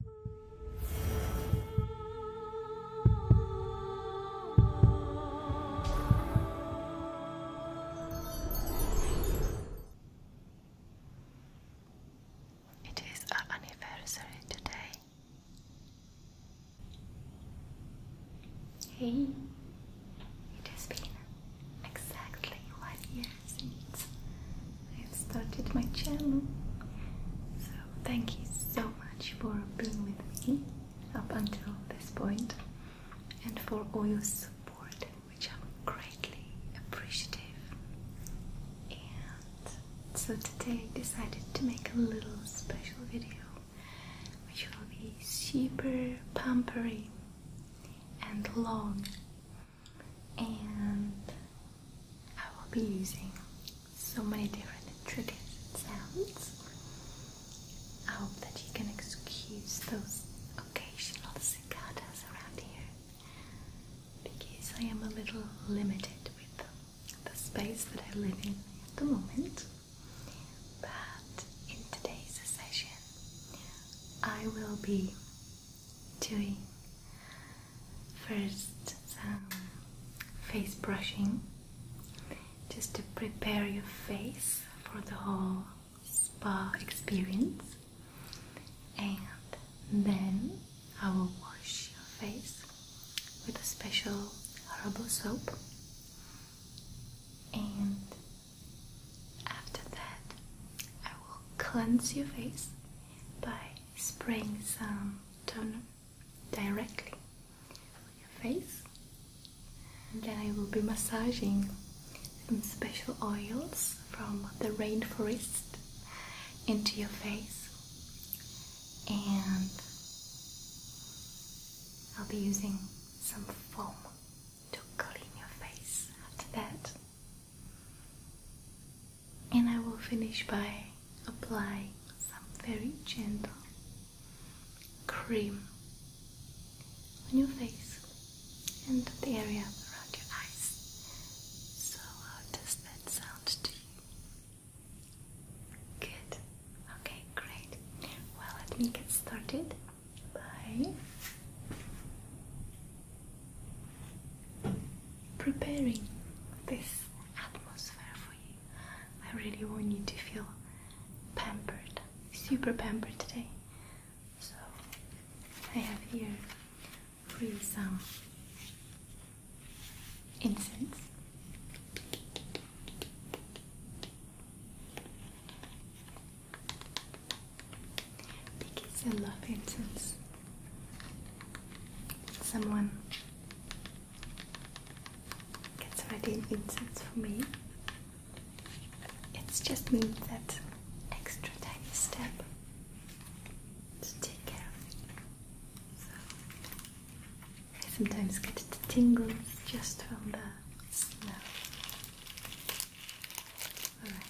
It is our anniversary today. Hey, it has been exactly one year since I have started my channel. So thank you so much for being with me up until this point and for all your support, which I'm greatly appreciative. And so today I decided to make a little special video which will be super pampery and long and I will be using so many different triggers and sounds. I hope that you can excuse those occasional cicadas around here because I am a little limited with the space that I live in at the moment. But in today's session, I will be doing First, some face brushing just to prepare your face for the whole spa experience, and then I will wash your face with a special herbal soap, and after that, I will cleanse your face by spraying some turn directly on your face and then I will be massaging some special oils from the rainforest into your face and I'll be using some foam to clean your face after that and I will finish by applying some very gentle cream on your face and the area around your eyes. So, how does that sound to you? Good. Okay, great. Well, let me get started by preparing this atmosphere for you. I really want you to feel pampered, super pampered today. So I have here really some incense. Because I love incense. Someone gets ready an incense for me. It's just me that extra tiny step to take care of it. So I sometimes get the tingles just from the smell. Alright.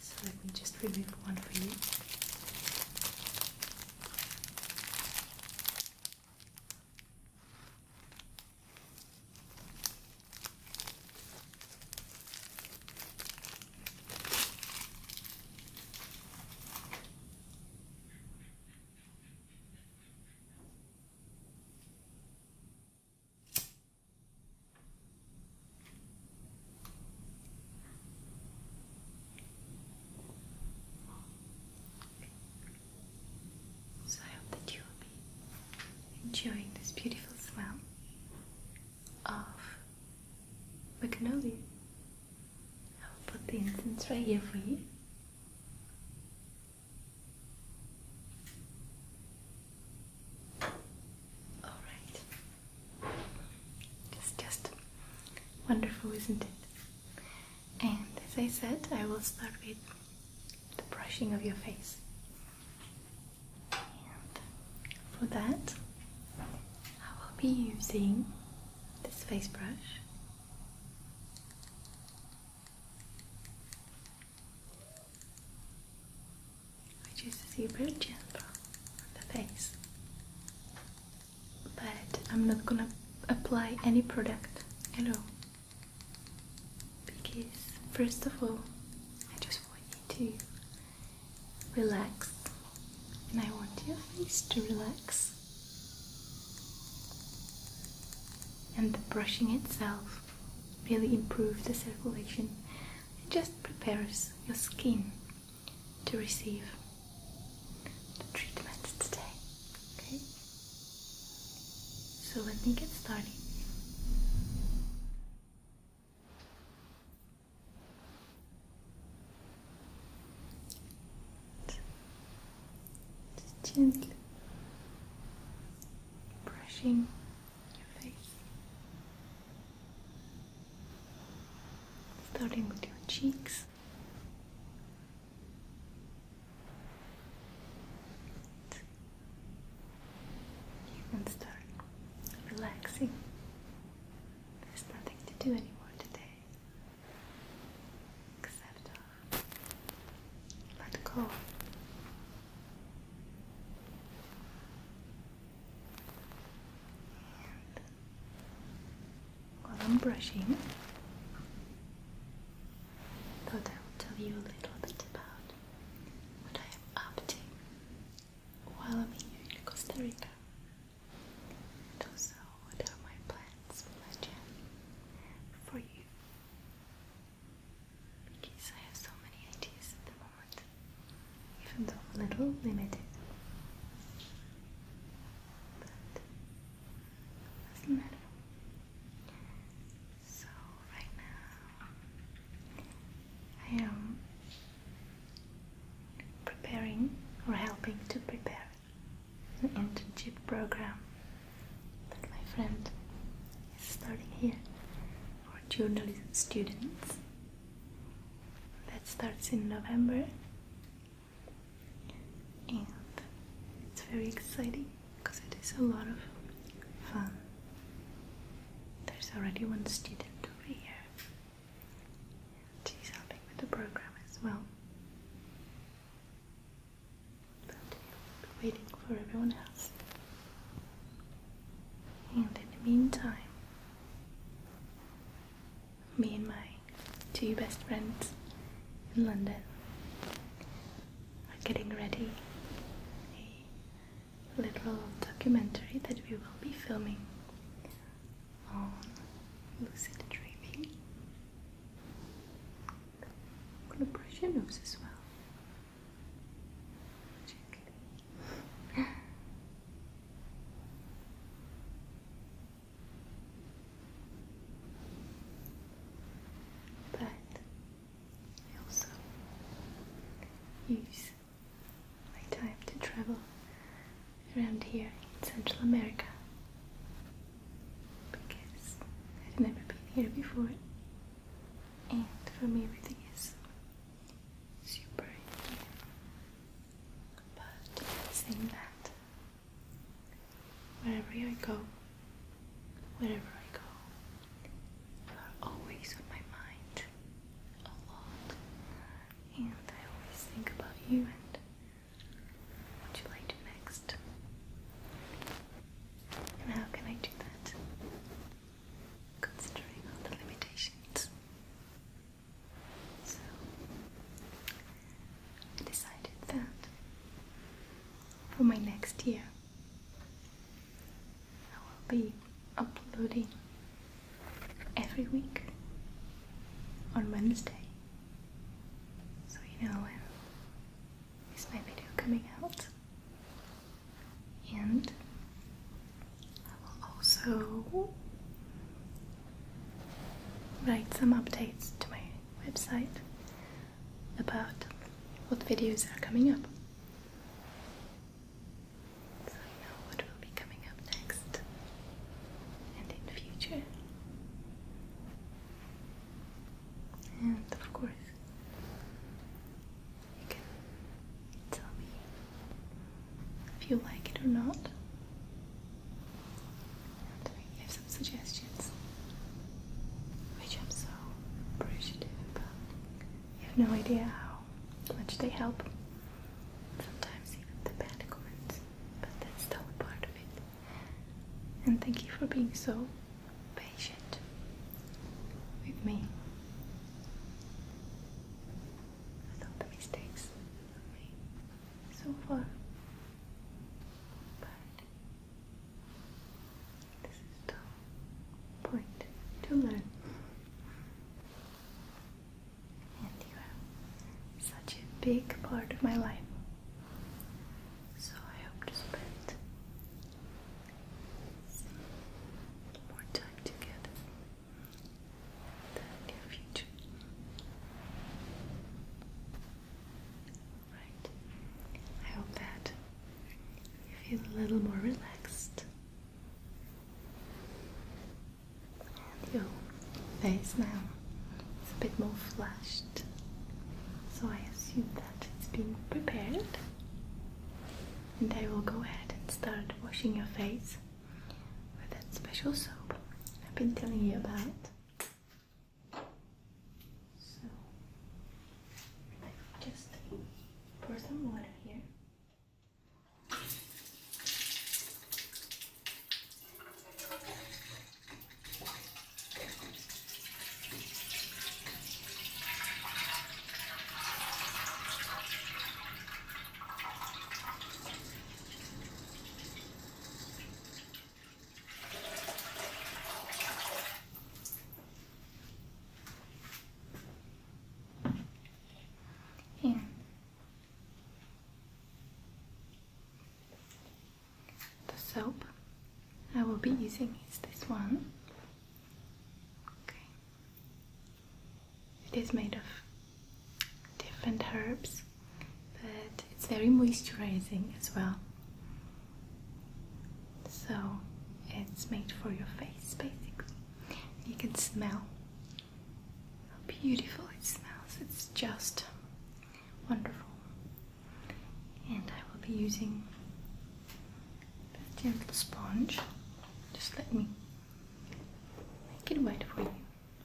So let me just remove one for you. So I hope that you will enjoying this beautiful smell of magnolia. I will put the incense right here for you. All right. It's just wonderful, isn't it? And as I said, I will start with the brushing of your face. And for that, I will be using this face brush which is very gentle on the face. But I'm not gonna apply any product at all because, first of all, I just want you to relax and I want your face to relax. And the brushing itself really improves the circulation and just prepares your skin to receive the treatment today. Okay? So let me get started. Just gently brushing your face. Starting with your cheeks. You can start relaxing. There's nothing to do anymore today except uh, let go while I'm brushing, thought I would tell you a little bit about what I am up to while I'm here in Costa Rica. And also, what are my plans for my journey for you because I have so many ideas at the moment, even though am a little limited. But doesn't matter. So right now I am preparing or helping to prepare an internship program that my friend is starting here for journalism students that starts in November and it's very exciting because it is a lot of fun. There's already one student over here she's helping with the program as well. waiting for everyone else. And in the meantime, me and my two best friends in London are getting ready a little documentary that we will be filming on lucid dreaming. I'm gonna brush your nose as well. But I also use my time to travel around here in Central America because I've never been here before and remove these super here. But saying that, wherever I go, wherever I go, you are always on my mind a lot, and I always think about you and what you like next. And how can I do that? considering all the limitations. So I decided that for my next year I will be uploading every week on Wednesday. So you know when is my video coming out and I will also write some updates to my website about what videos are coming up. So I know what will be coming up next and in the future. And of course, you can tell me if you like it or not. And some suggestions, which i so appreciative You have no idea how much they help. Sometimes even the bad comments, but that's still part of it. And thank you for being so patient with me with all the mistakes I made so far. But this is the point to learn. And you are such a big part of my life. So I hope to spend more time together the near future. Right. I hope that you feel a little more relaxed. And your face now is a bit more flushed. So I assume that it's being prepared and I will go ahead and start washing your face with that special soap I've been telling you about. So, I've just pour some water here. Here. The soap I will be using is this one. Okay. It is made of different herbs, but it's very moisturizing as well. So it's made for your face basically. You can smell how beautiful it smells. It's just wonderful. And I will be using a gentle sponge. Just let me make it white for you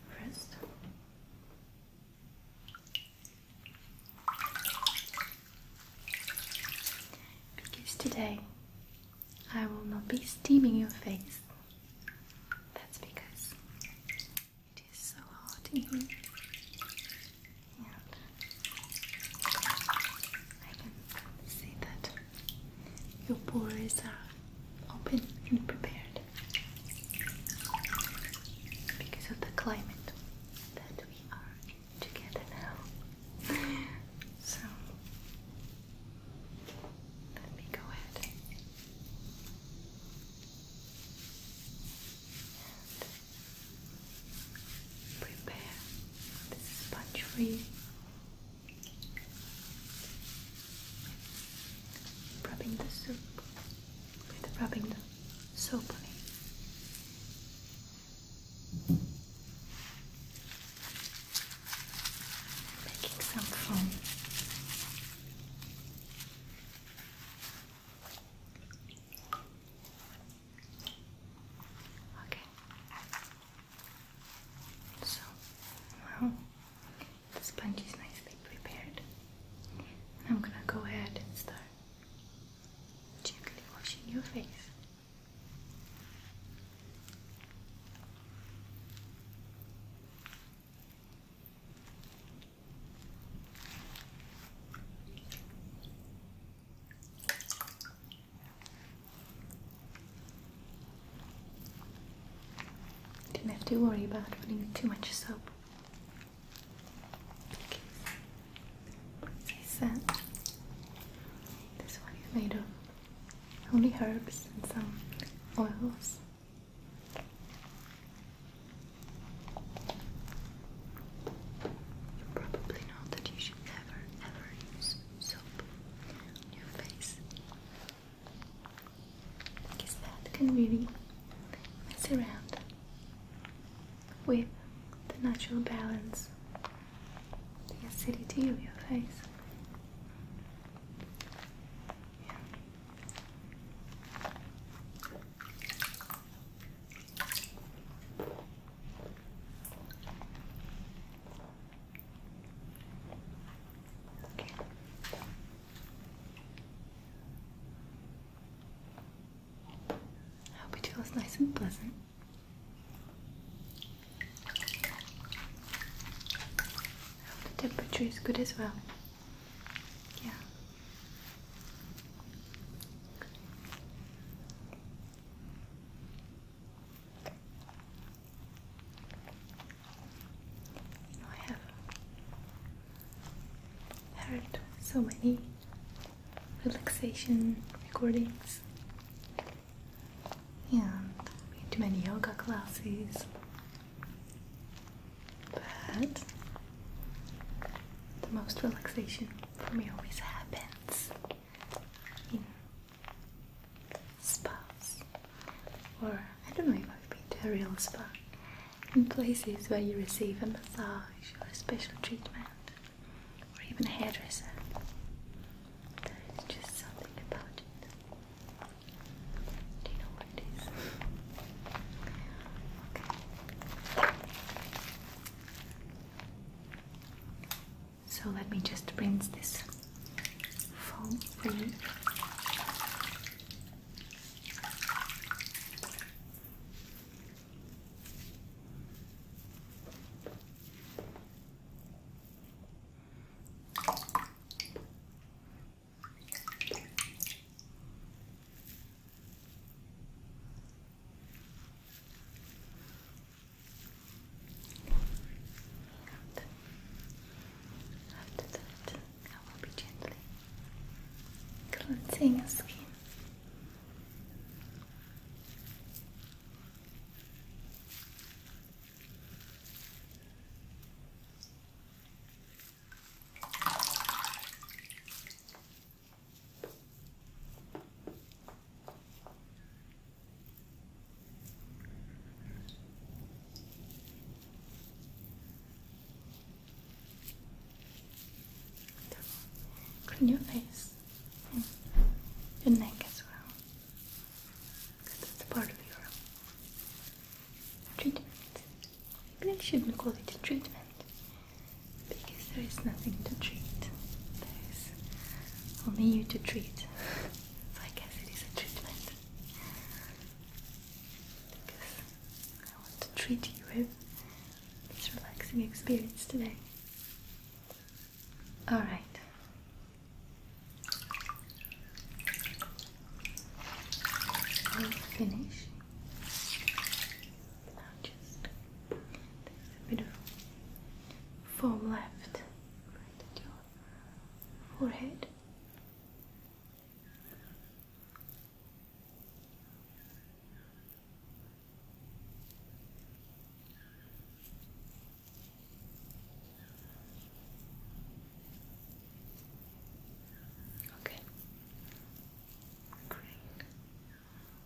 first. Because today I will not be steaming your face. That's because it is so hot in here. I can see that your pores are open and prepared because of the climate that we are in together now. So let me go ahead and prepare this sponge for Rubbing the soup with rubbing the soap on it. Making some foam. Okay. So now the sponge is nicely prepared. I'm gonna go ahead and start gently washing your face. Didn't have to worry about putting too much soap. Okay. So this one is made of only herbs and some oils. probably know that you should never ever use soap your face because that can really mess around with the natural balance, the acidity of your face. I hope it feels nice and pleasant. the temperature is good as well. Yeah. I have heard so many relaxation recordings and been many yoga classes, but the most relaxation for me always happens spas, or I don't know if I've been to a real spa, in places where you receive a massage or a special treatment, or even a hairdresser. There is just something about it. Do you know what it is? So let me just rinse this foam for you. Good. After that, I will be gently cleansing your skin. Clean your face and your neck as well. Because that's a part of your treatment. Maybe I shouldn't call it a treatment because there is nothing to treat. There is only you to treat. So I guess it is a treatment. Because I want to treat you with this relaxing experience today. Alright. i Now just a bit of foam left your forehead. Okay. Great.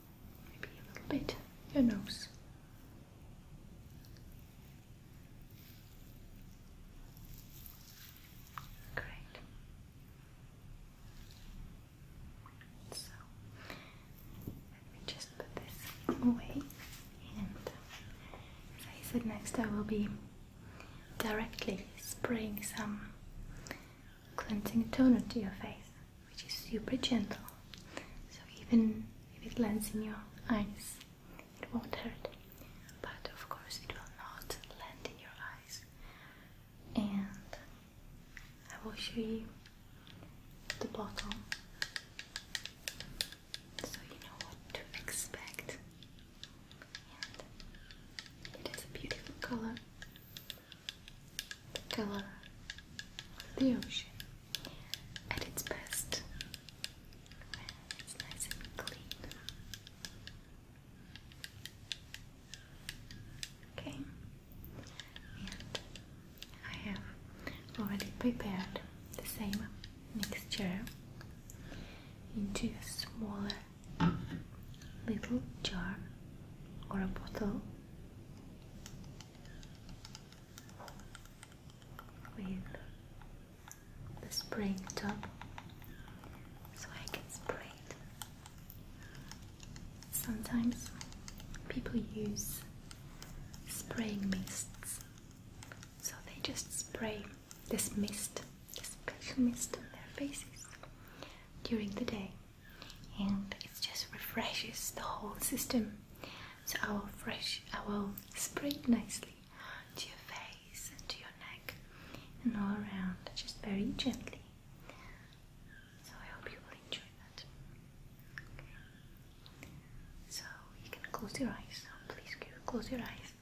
Maybe a little bit your nose. Great. So let me just put this away, and I said, next I will be directly spraying some cleansing toner to your face, which is super gentle. So even if it lands in your eyes, it won't hurt. But of course, it will not land in your eyes. And I will show you the bottle so you know what to expect. it is a beautiful color color the ocean at its best it's nice and clean. Okay, and I have already prepared the same mixture into a smaller little jar or a bottle with the spray top so I can spray it. Sometimes people use spraying mists, so they just spray this mist, this special mist on their faces during the day, and it just refreshes the whole system. So I will fresh, I will spray nicely to your face and to your neck and all around, just very gently. So I hope you will enjoy that. So you can close your eyes. please close your eyes.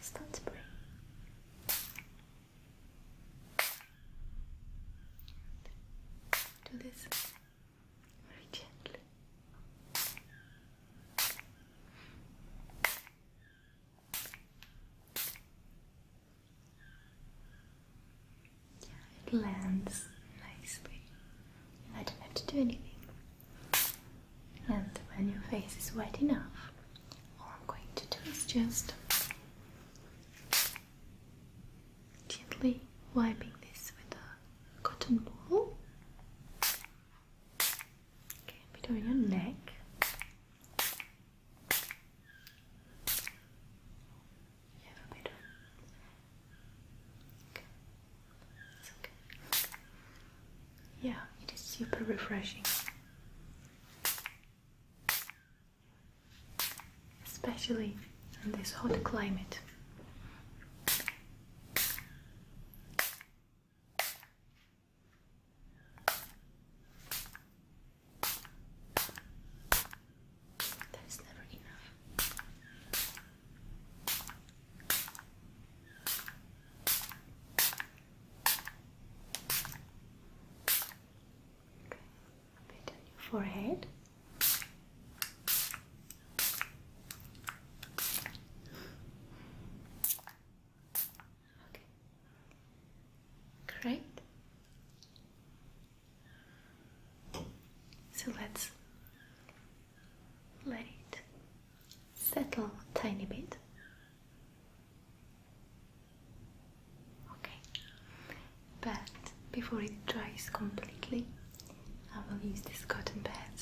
Start spraying. Do this gently. Yeah, it lands nicely. I don't have to do anything. And when your face is wet enough, all I'm going to do is just gently wiping this with a cotton ball. Okay, a bit your neck. You have a bit on. Okay. It's okay. Yeah, it is super refreshing. Especially in this hot climate. That is never enough. Okay, a bit on your forehead. Okay. Great. So let's let it settle a tiny bit. Okay. But before it dries completely, I will use this cotton pad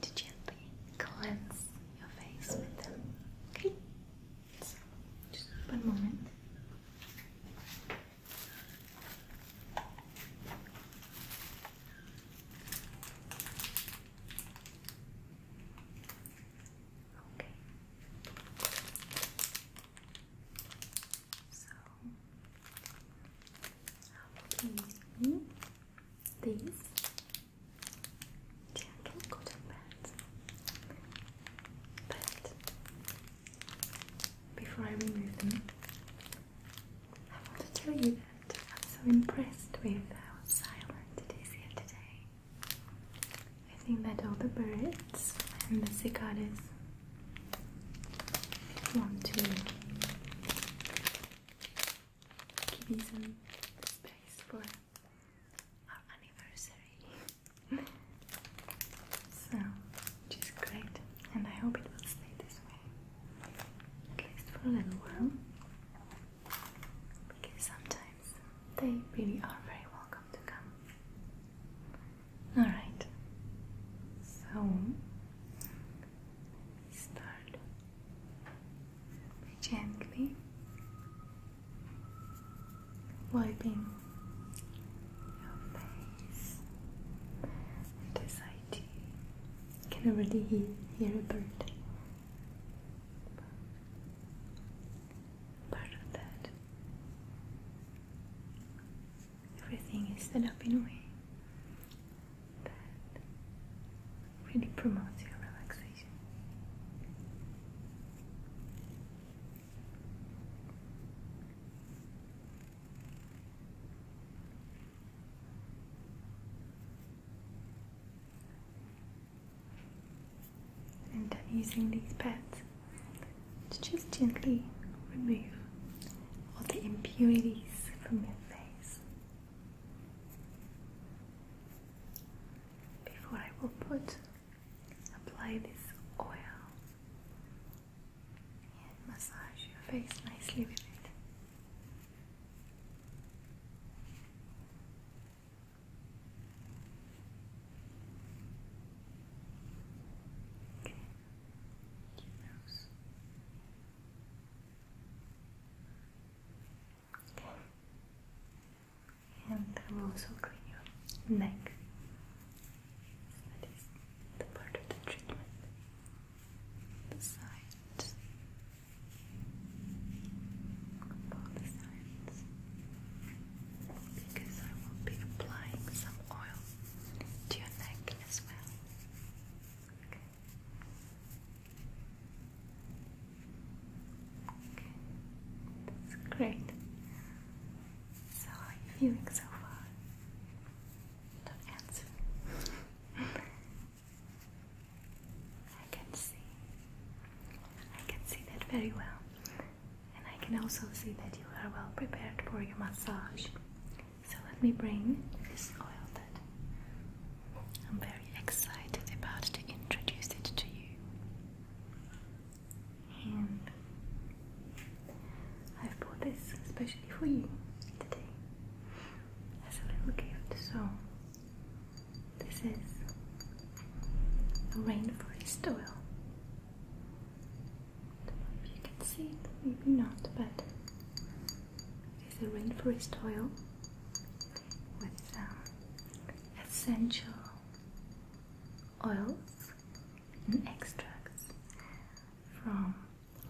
to gently cleanse your face with them. Okay? just one moment. Okay. So these gentle cotton pads. But before I remove them, I want to tell you that I'm so impressed with how silent it is here today. I think that all the birds and the cicadas want to give some space for our anniversary. so, which is great, and I hope it will stay this way at least for a little while because sometimes they really are very welcome to come. Alright, so Start gently wiping your face. On this can already hear a bird. Part of that everything is set up in a way that really promotes your relaxation. And I'm using these pads to just gently remove all the impurities from your face before I will put apply this oil and massage your face nicely with it. Okay. And I will also clean your neck. that is the part of the treatment. The sides. Both sides. Because I will be applying some oil to your neck as well that's great. how are you feeling so far? Don't answer. I can see. I can see that very well. And I can also see that you are well prepared for your massage. So let me bring this oil that I'm very excited about to introduce it to you. And I've bought this especially for you today as a little gift. So this is a rainforest oil. if you can see maybe not, but it's a rainforest oil with um, essential oils and extracts from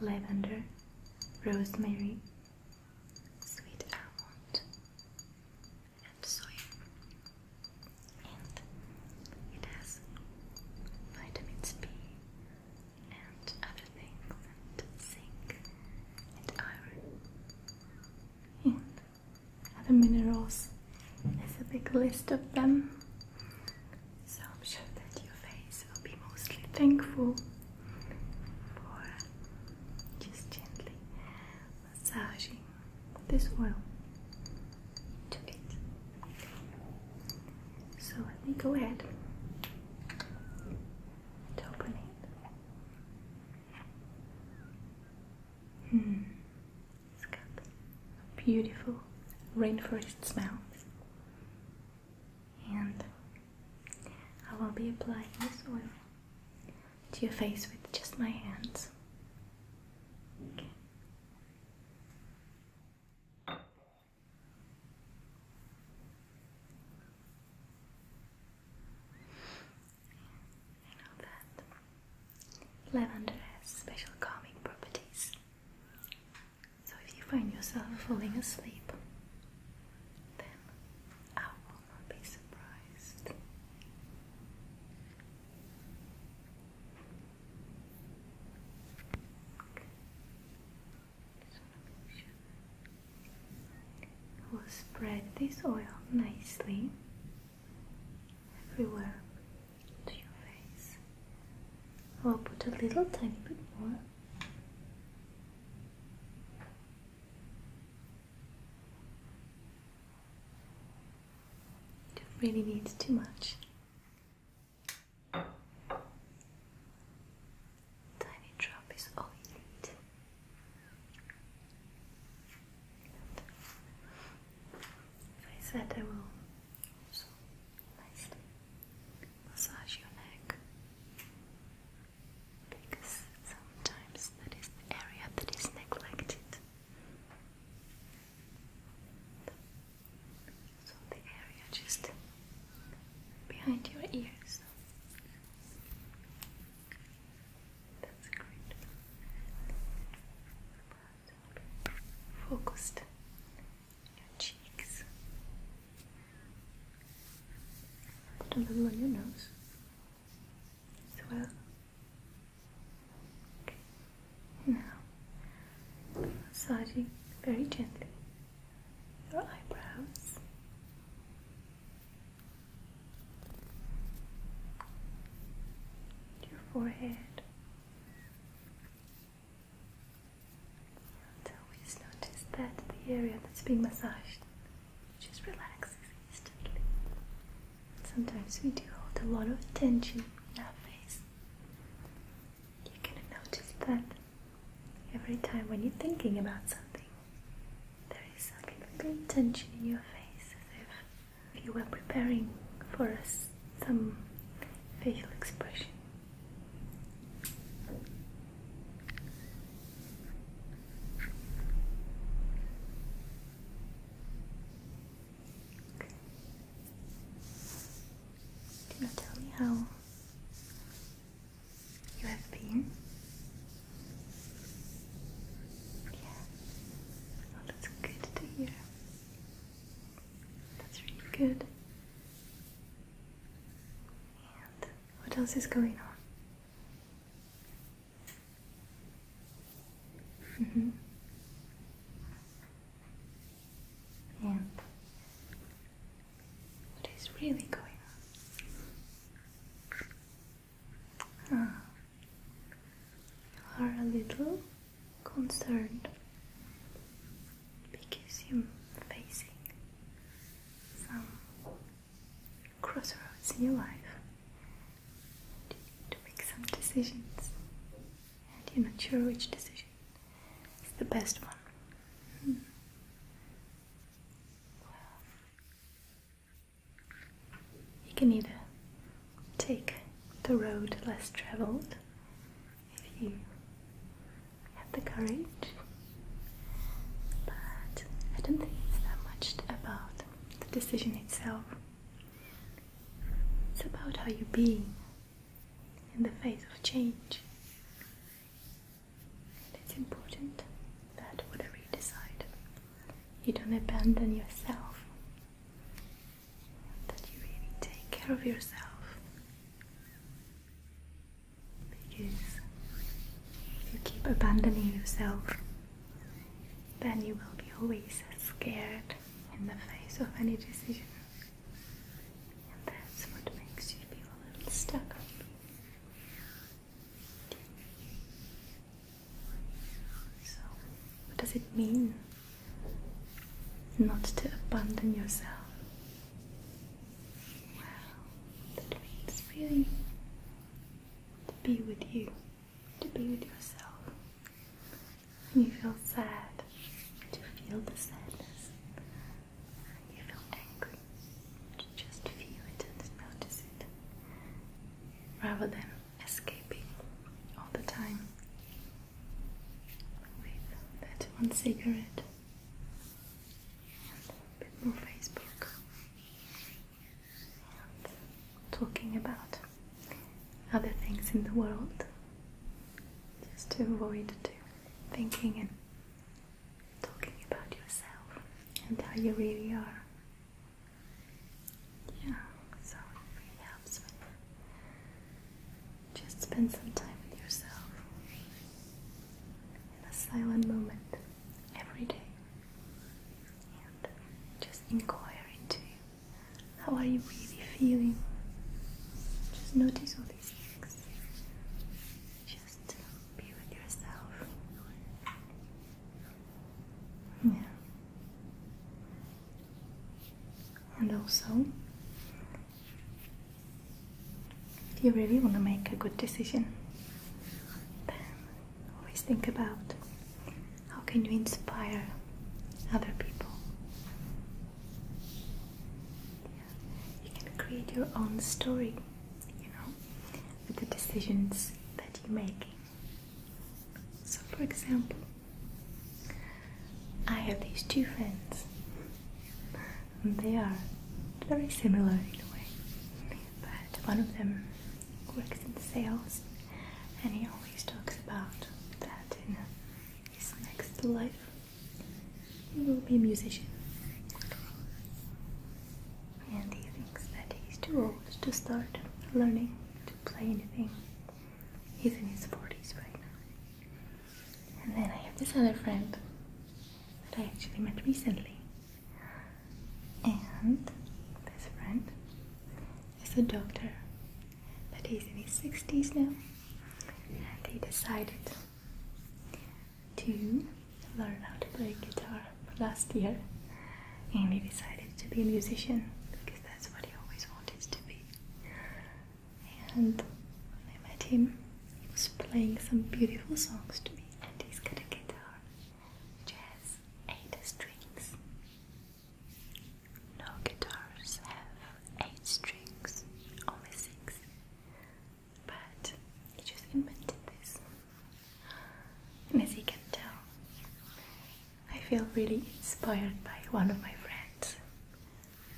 lavender, rosemary, sweet almond, and soy. And it has vitamins B, and other things, and zinc and iron and other minerals. There's a big list of them, so I'm sure that your face will be mostly thankful for just gently massaging this oil to it. So let me go ahead and open it. Hmm. It's got beautiful rainforest smell. And I will be applying this oil to your face with just my hands. You know that lavender has special calming properties. So if you find yourself falling asleep, then I will not be surprised. I will spread this oil nicely everywhere to your face. I will put a little tiny bit more. It really needs too much. Tiny drop is all you need. I said I will nicely massage your neck because sometimes that is the area that is neglected. So the area just behind your ears. That's great. Focused. Your cheeks. a little on your nose as well. Okay. Now, massaging very gently your eyebrows. Your forehead. And always notice that the area that's being massaged just relaxes instantly. Sometimes we do hold a lot of tension in our face, you're gonna notice that every time when you're thinking about something, there is some kind of great tension in your face, as if you were preparing for us some facial expression. Do not tell me how you have been? Yeah. Oh, that's good to hear. That's really good. And what else is going on? Mm -hmm. And what is really going on? Ah. you are a little concerned because you're facing some crossroads in your life. You need to make some decisions, and you're not sure which decision is the best one. Hmm you can either take the road less traveled if you have the courage, but I don't think it's that much about the decision itself. It's about how you be in the face of change. It's important that whatever you decide, you don't abandon yourself, that you really take care of yourself. Because if you keep abandoning yourself, then you will be always scared in the face of any decision. And that's what makes you feel a little stuck. So, what does it mean not to abandon yourself? Well, that means really to be with you, to be with yourself. When you feel sad, to feel the sadness, you feel angry. Just feel it and notice it. Rather than escaping all the time with that one cigarette and a bit more Facebook talking about other things in the world just to avoid to thinking and talking about yourself and how you really are. Yeah, so it really helps just spend some time with yourself in a silent moment every day and just inquire into how are you really feeling. Just notice all these things. Just be with yourself. Yeah. And also, if you really want to make a good decision, always think about how can you inspire other people. You can create your own story you know, with the decisions that you make. So, for example, I have these two friends, and they are very similar in a way, but one of them works in sales and he always talks about that in his next life he will be a musician. And he thinks that he's too old to start learning to play anything. He's in his 40s right now. And then I have this other friend that I actually met recently. And this friend is a doctor, but he's in his 60s now. And he decided to learn how to play guitar last year and he decided to be a musician because that's what he always wanted to be. And when I met him, he was playing some beautiful songs to me and he's got a guitar which eight strings. No guitars have eight strings, only six but he just invented this. And as you can tell, I feel really inspired by one of my friends,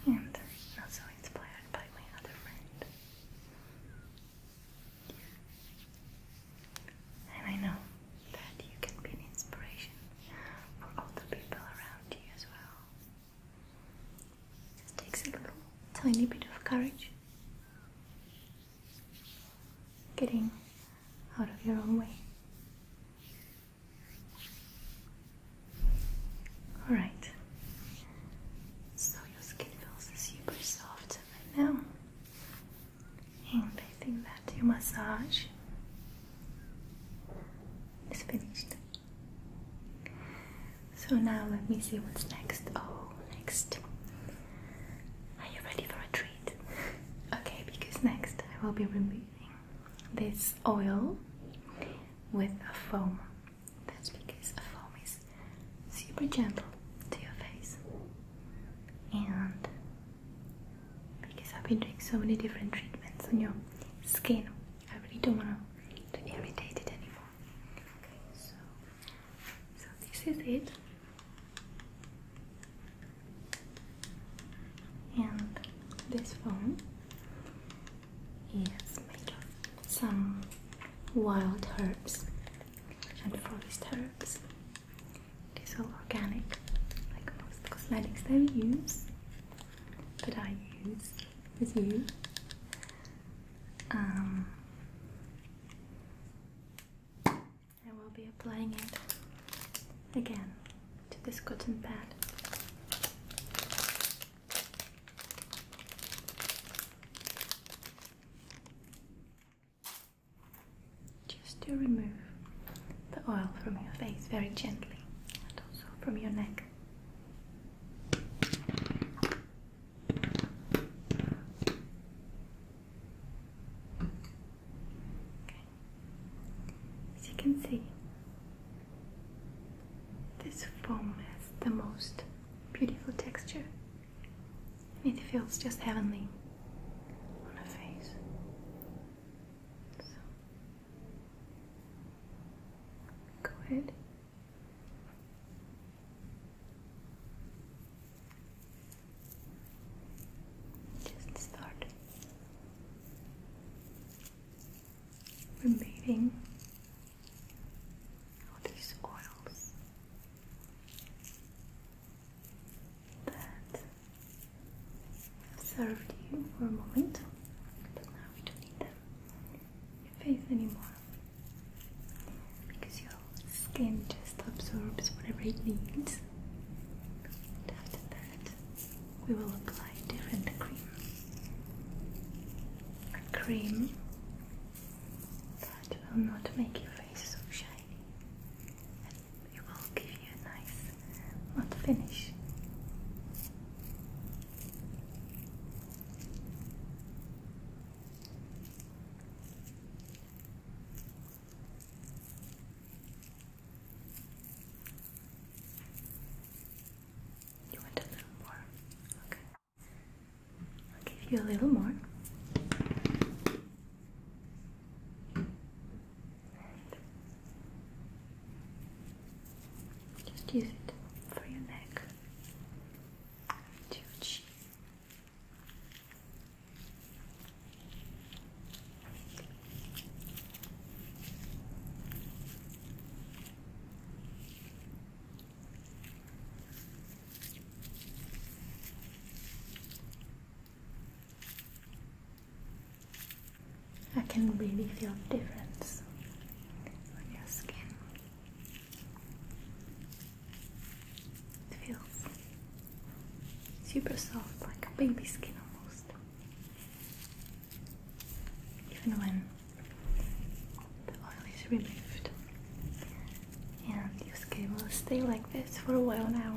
and also inspired by my other friend. And I know that you can be an inspiration for all the people around you as well. It takes a little tiny bit of courage. Getting out of your own way. Alright, so your skin feels super soft right now, and I think that your massage is finished. So now let me see what's next. Oh, next. Are you ready for a treat? Okay, because next I will be removing this oil with a foam. That's because a foam is super gentle to your face. And because I've been doing so many different treatments on your skin, I really don't want to irritate it anymore. Okay, so so this is it. And this phone is made of some wild herbs and forest herbs. It is all organic, like most cosmetics that we use, that I use with you. Um, I will be applying it again to this cotton pad. Just to remove the oil from your face very gently and also from your neck. As you can see, this foam has the most beautiful texture it feels just heavenly on a face. So, go ahead just start removing all these oils that served you for a moment, but now we don't need them. Your face anymore because your skin just absorbs whatever it needs. And after that, we will apply different cream. A cream that will not make your face so shiny and it will give you a nice not finish. You want a little more? Okay. I'll give you a little more. just use it for your neck, and your I can really feel the difference on your skin. It feels super soft, like a baby skin almost. Even when the oil is removed, and your skin will stay like this for a while now.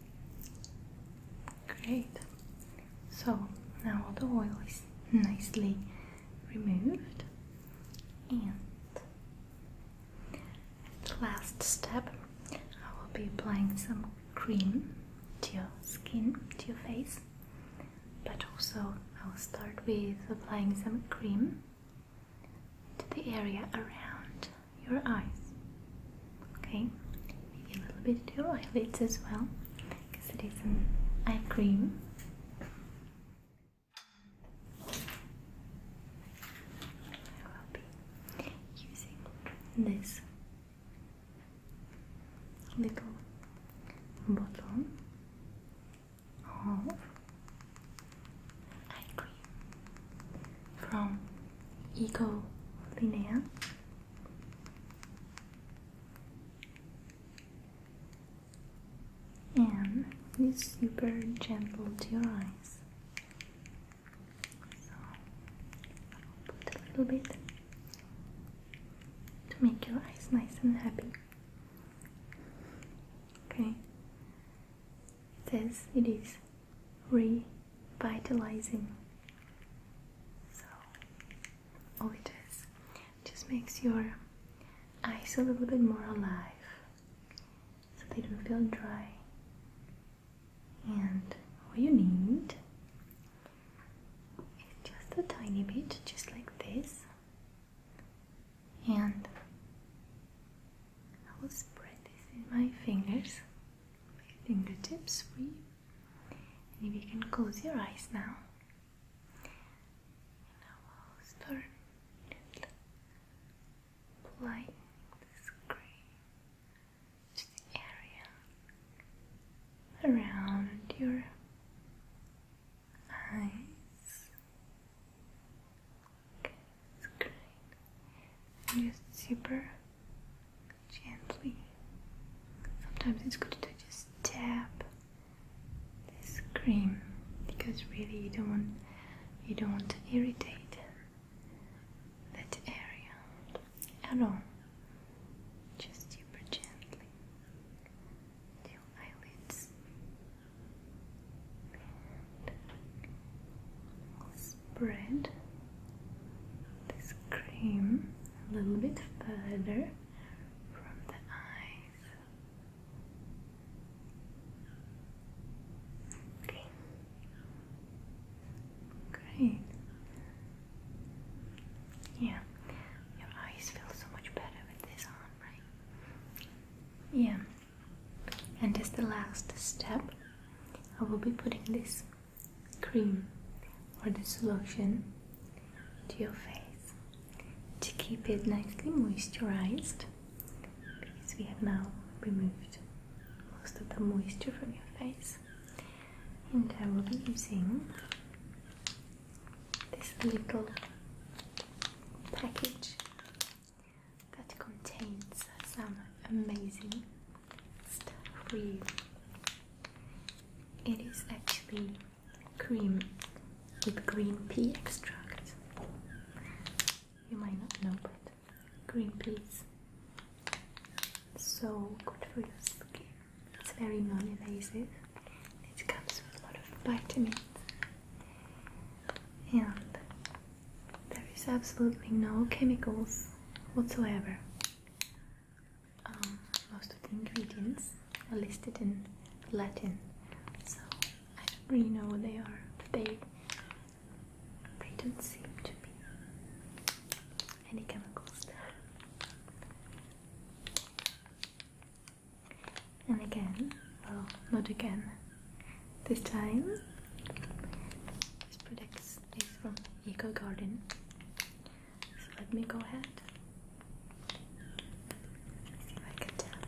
Great. So now all the oil is nicely removed, and the last step, I will be applying some cream to your skin, to your face, but also I'll start with applying some cream to the area around your eyes. Okay, maybe a little bit to your eyelids as well, because it is an eye cream. I will be using this little bottle of eye cream from Eco Linea. And it's super gentle to your eyes. So I'll put a little bit to make your eyes nice and happy. Okay. it is. it is revitalizing. So, all it just makes your eyes a little bit more alive so they don't feel dry. And all you need is just a tiny bit, just like this, and I will spread this in my fingers, my fingertips for you. And if you can close your eyes now, and I will start applying this cream to the area around your eyes. Okay screen. Just super gently. Sometimes it's good to just tap this cream because really you don't want you don't want to irritate that area at all. Just super gently. Till eyelids spread this cream a little bit further from the eyes. Okay. Great. Yeah. Your eyes feel so much better with this on, right? Yeah, and as the last step I will be putting this cream or this solution to your face to keep it nicely moisturized because we have now removed most of the moisture from your face and I will be using this little package that contains some amazing stuff for It is actually cream with green pea extract. You might not know, but green peas so good for your skin. It's very non-invasive. It comes with a lot of vitamins and there is absolutely no chemicals whatsoever. Um, most of the ingredients are listed in Latin, so I don't really know what they are, but they, they don't seem to be any chemicals there. And again, well, not again, this time this product is from eco garden so let me go ahead Let's see if I can tap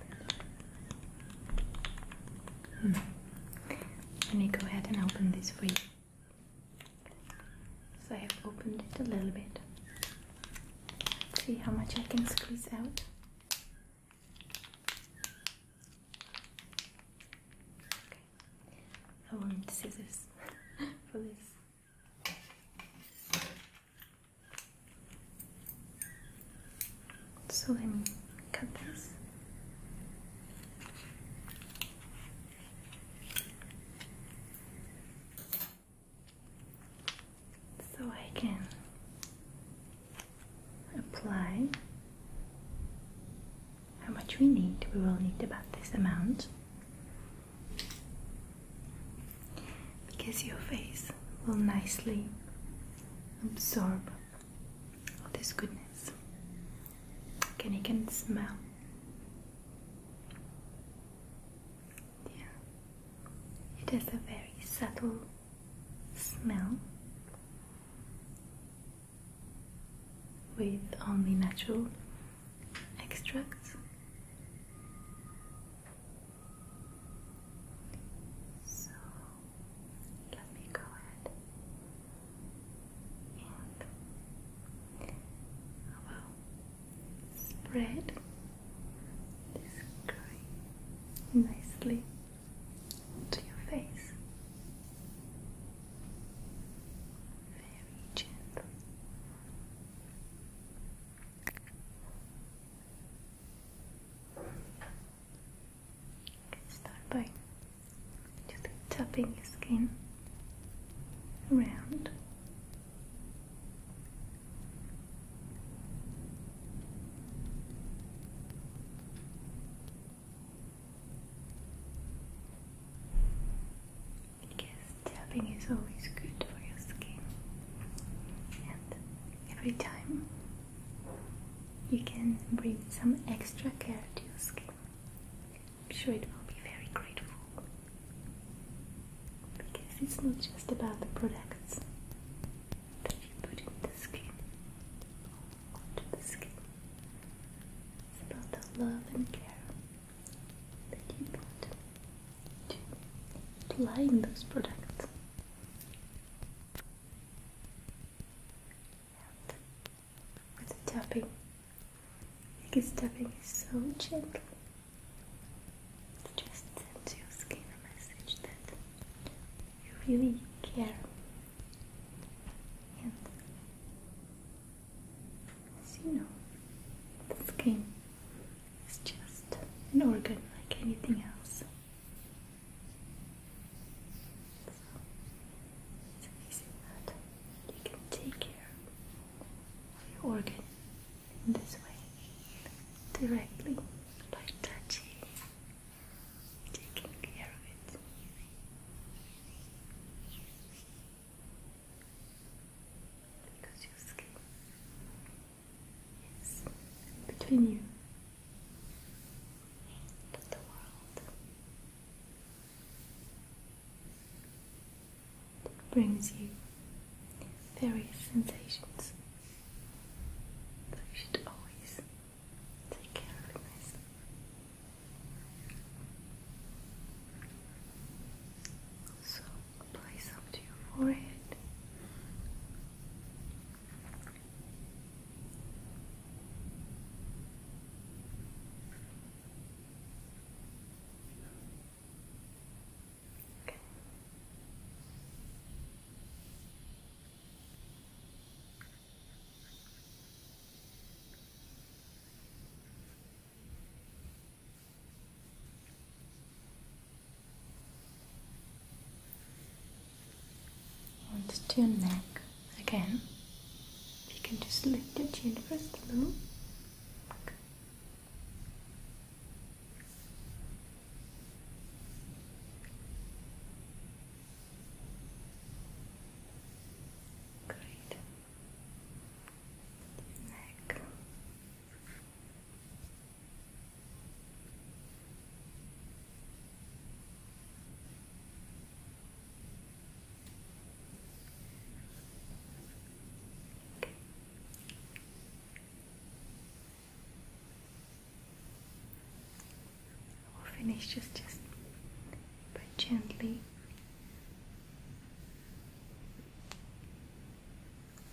hmm. let me go ahead and open this for you so I have opened it a little bit see how much I can squeeze out Okay. I want scissors for this. So let me cut this. So I can apply how much we need. We will need about this amount because your face will nicely absorb all this goodness. Can you can smell? Yeah, it has a very subtle smell with only natural extracts. So let me go ahead and I uh, will spread this cream nicely to your face very gently. Start by just tapping your skin around. Because tapping is always good for your skin, and every time you can bring some extra care to your skin. I'm sure it will be very grateful because it's not just about the products that you put in the skin onto the skin about the love and care that you put to, applying those products. And with the tapping, because tapping is so gentle. It just sends your skin a message that you really care and you know, the skin is just an organ like anything else. So it's amazing that you can take care of your organ in this way directly by touching taking care of it. Because your skin is between you and the world. It brings you various sensations, but you should always Take care of myself. to your forehead. Okay. Onto your neck again. You can just lift your chin first a little. Great. Neck. We'll finish just just but gently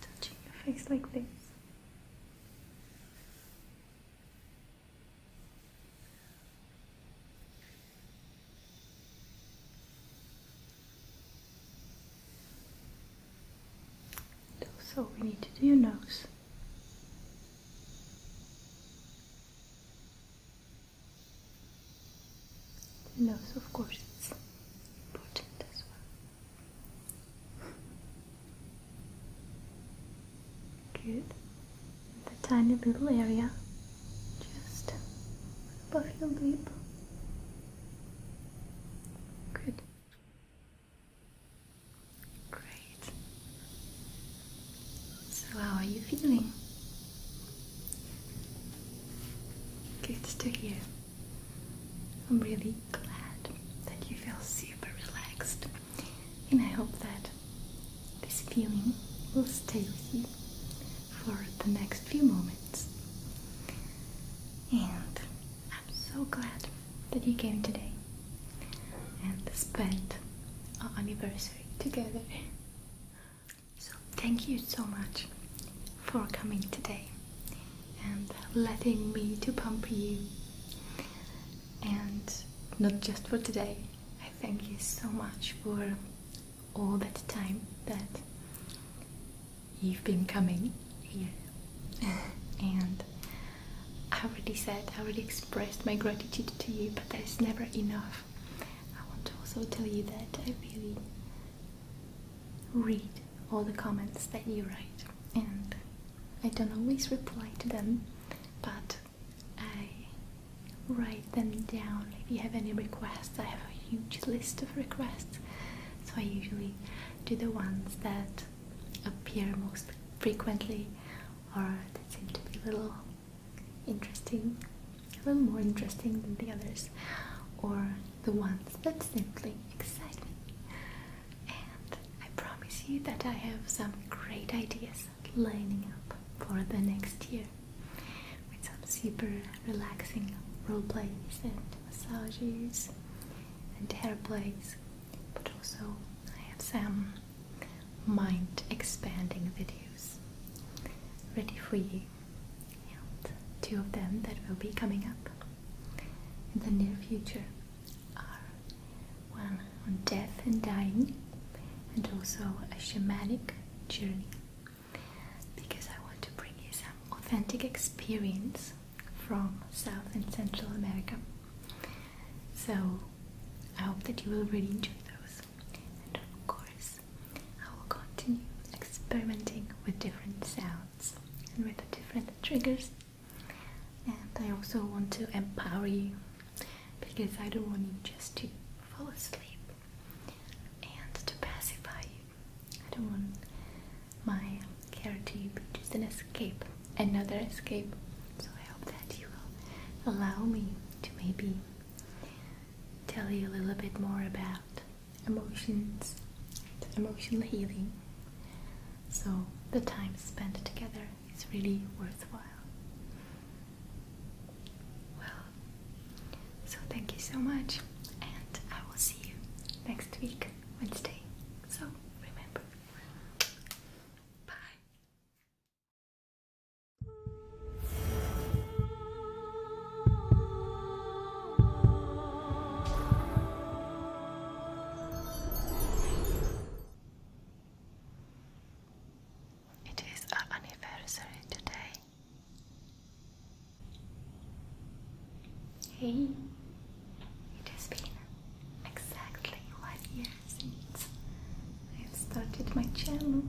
touching your face like this. So we need to do your nose. The nose, of course, is important as well. Good. the tiny little area just above your lip. Good. Great. So, how are you feeling? Good to hear. I'm really glad that you feel super relaxed, and I hope that this feeling will stay with you for the next few moments. And I'm so glad that you came today and spent our anniversary together. So, thank you so much for coming today and letting me to pump you. And not just for today, I thank you so much for all that time that you've been coming here. and I already said, I already expressed my gratitude to you, but there's never enough. I want to also tell you that I really read all the comments that you write and I don't always reply to them but I write them down if you have any requests I have a huge list of requests so I usually do the ones that appear most frequently or that seem to be little interesting, a little more interesting than the others, or the ones that simply excite me. And I promise you that I have some great ideas lining up for the next year with some super relaxing role plays and massages and hair plays, but also I have some mind expanding videos ready for you. two of them that will be coming up in the near future are one on death and dying, and also a shamanic journey because I want to bring you some authentic experience from South and Central America. So I hope that you will really enjoy those. And of course, I will continue experimenting with different sounds and with different triggers. And I also want to empower you because I don't want you just to fall asleep and to pacify you. I don't want my care to be just an escape, another escape. So I hope that you will allow me to maybe tell you a little bit more about emotions, emotional healing. So the time spent together is really worthwhile. Well, so thank you so much, and I will see you next week, Wednesday. So remember, bye. It is our anniversary today. Hey, it has been exactly one year since I have started my channel.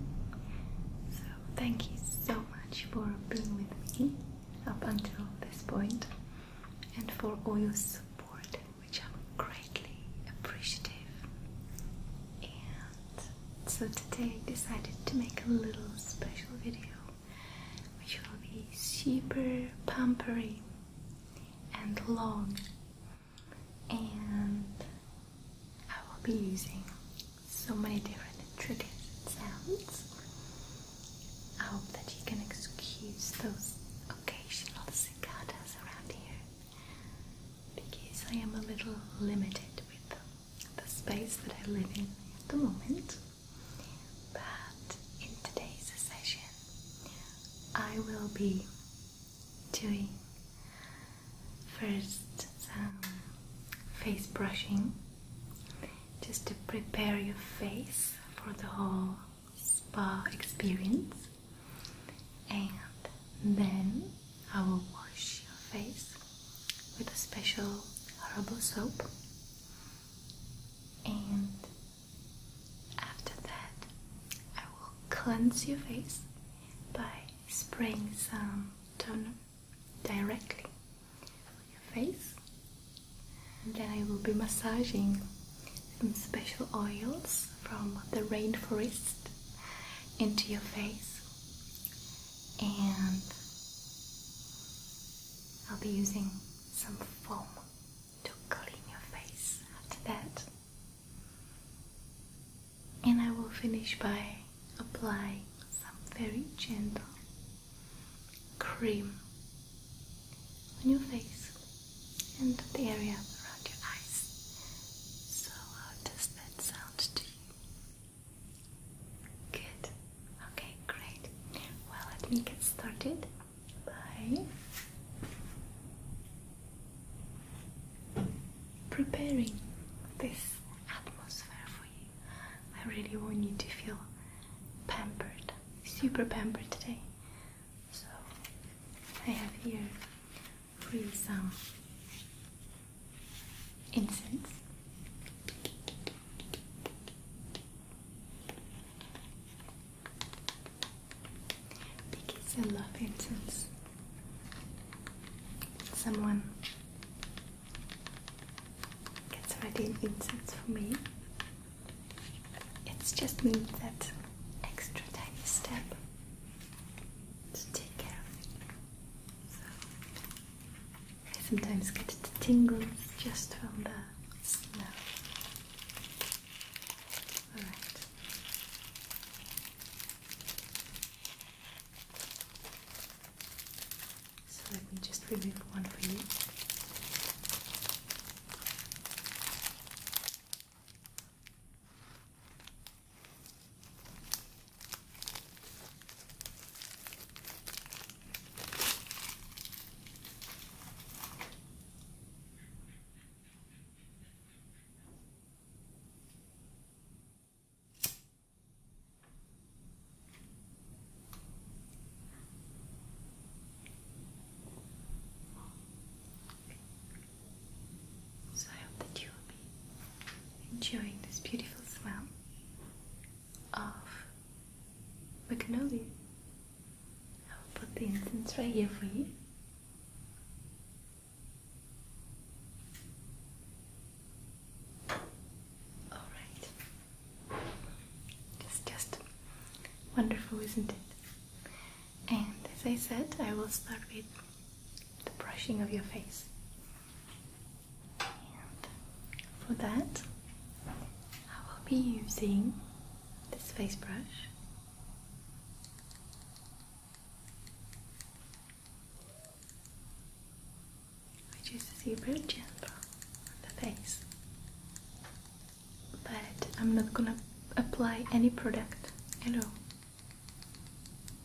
So thank you so much for being with me up until this point and for all your support, which I'm greatly appreciative. And so today I decided to make a little special video, which will be super pampery and long and I will be using so many different triggers and sounds. I hope that you can excuse those occasional cicadas around here because I am a little limited with the space that I live in at the moment. But in today's session, I will be doing First, some um, face brushing just to prepare your face for the whole spa experience, and then I will wash your face with a special herbal soap, and after that, I will cleanse your face by spraying some turn directly on your face and then I will be massaging some special oils from the rainforest into your face and I'll be using some foam to clean your face after that and I will finish by applying some very gentle cream on your face and the area around your eyes. So, how does that sound to you? Good. Okay, great. Well, let me get started by preparing this atmosphere for you. I really want you to feel pampered, super pampered today. So I have here really some incense. Because I love incense. Someone gets ready an incense for me. It's just me that extra tiny step to take care of I sometimes get the tingles just from the smell. Alright. So let me just remove one for you. Okay. So I hope that you will enjoying this beautiful smell of magnolia. I'll put the incense right here for you. All right. It's just wonderful, isn't it? And as I said, I will start with the brushing of your face. And for that, I will be using this face brush which is super gentle on the face. But I'm not gonna apply any product at all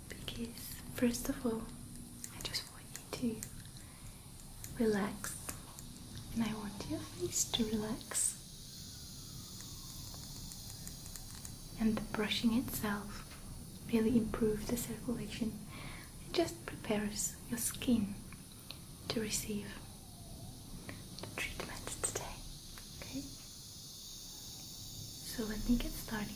because, first of all, I just want you to relax and I want your face to relax. And the brushing itself really improves the circulation and just prepares your skin to receive the treatment today. Okay? So let me get started.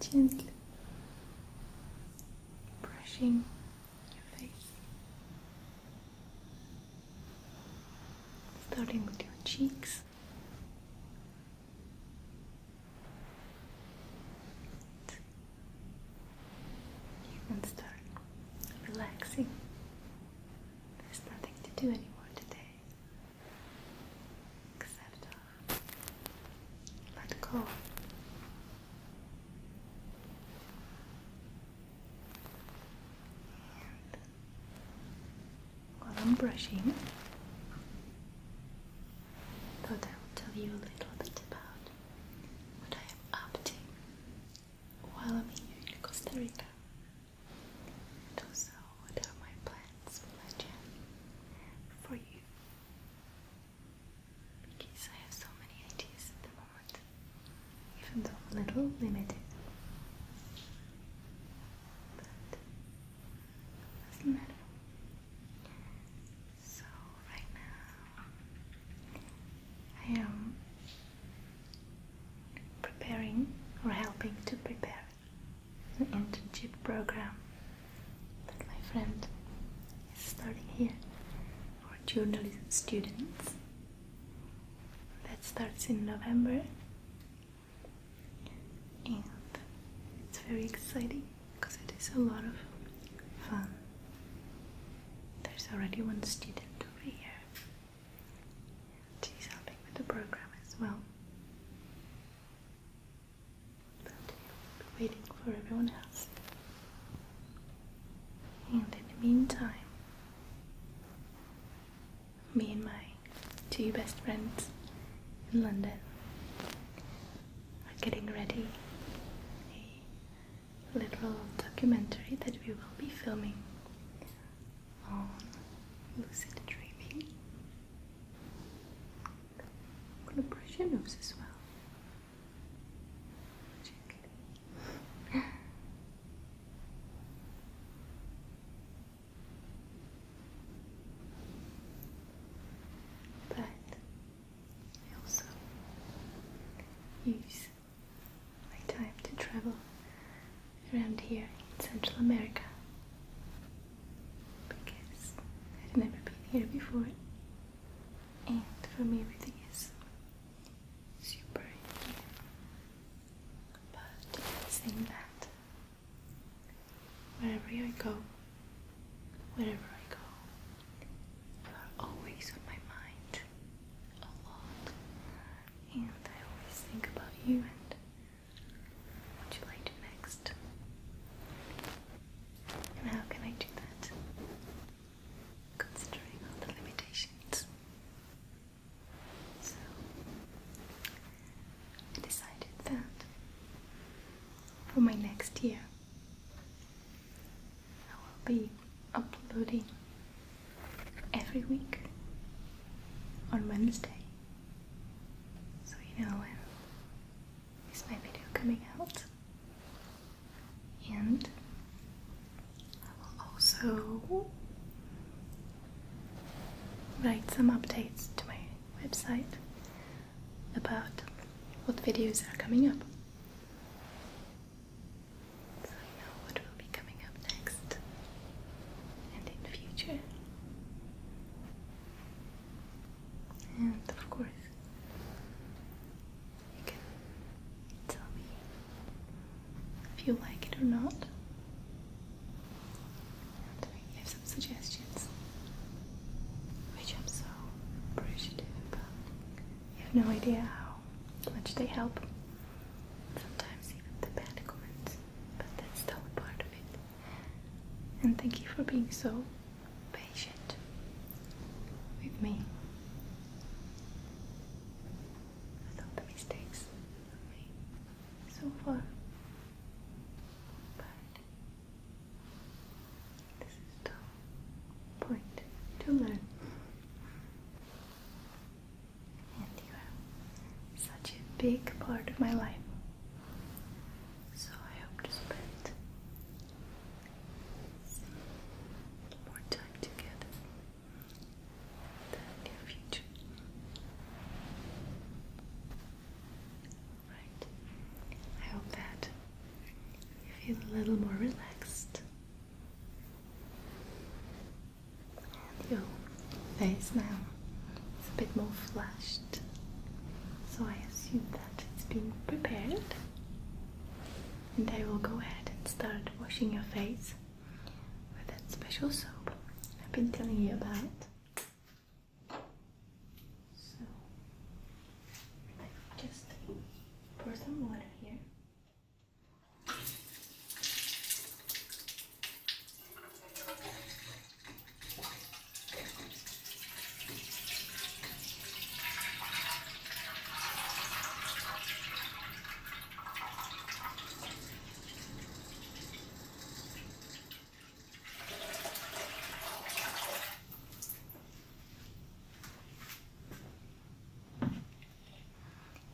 Just gently brushing your face. Starting with your cheeks. You can start relaxing. There's nothing to do anymore today. Except uh, let go while I'm brushing, thought I would tell you a little bit about what I am up to while I'm here in Costa Rica, and also what my plans for my for you. Geez, I have so many ideas at the moment, even though a little limited. But doesn't matter. So right now, I am preparing or helping to prepare an internship program that my friend is starting here for journalism students that starts in November and it's very exciting because it is a lot of fun. There's already one student over here she's helping with the program as well. But waiting for everyone else. And in the meantime, me and my two best friends in London are getting ready a little documentary that we will be filming on lucid dreaming. I'm gonna brush your nose as well. Gently. But I also use my time to travel around here in Central America because I've never been here before and for me everything is super easy. But saying that, wherever I go, wherever I go, you are always on my mind a lot, and I always think about you and what you like to next. And how can I do that? considering all the limitations. So I decided that for my next year I will be uploading every week on Wednesday. So you know when is my video coming out? and I will also write some updates to my website about what videos are coming up. So I know what will be coming up next and in the future. And of course, you can tell me if you like it or not. And some suggestions, which I'm so appreciative You have no idea how much they help. Sometimes even the bad comments, but that's still part of it. And thank you for being so patient with me with all the mistakes so far. But this is the point to learn. And you are such a big part of my life. So I hope to spend more time together the near future. Right. I hope that you feel a little more relaxed. And your face now is a bit more flushed. So I assume that it's being prepared and I will go ahead and start washing your face with that special soap I've been telling you about. So I just pour some water here.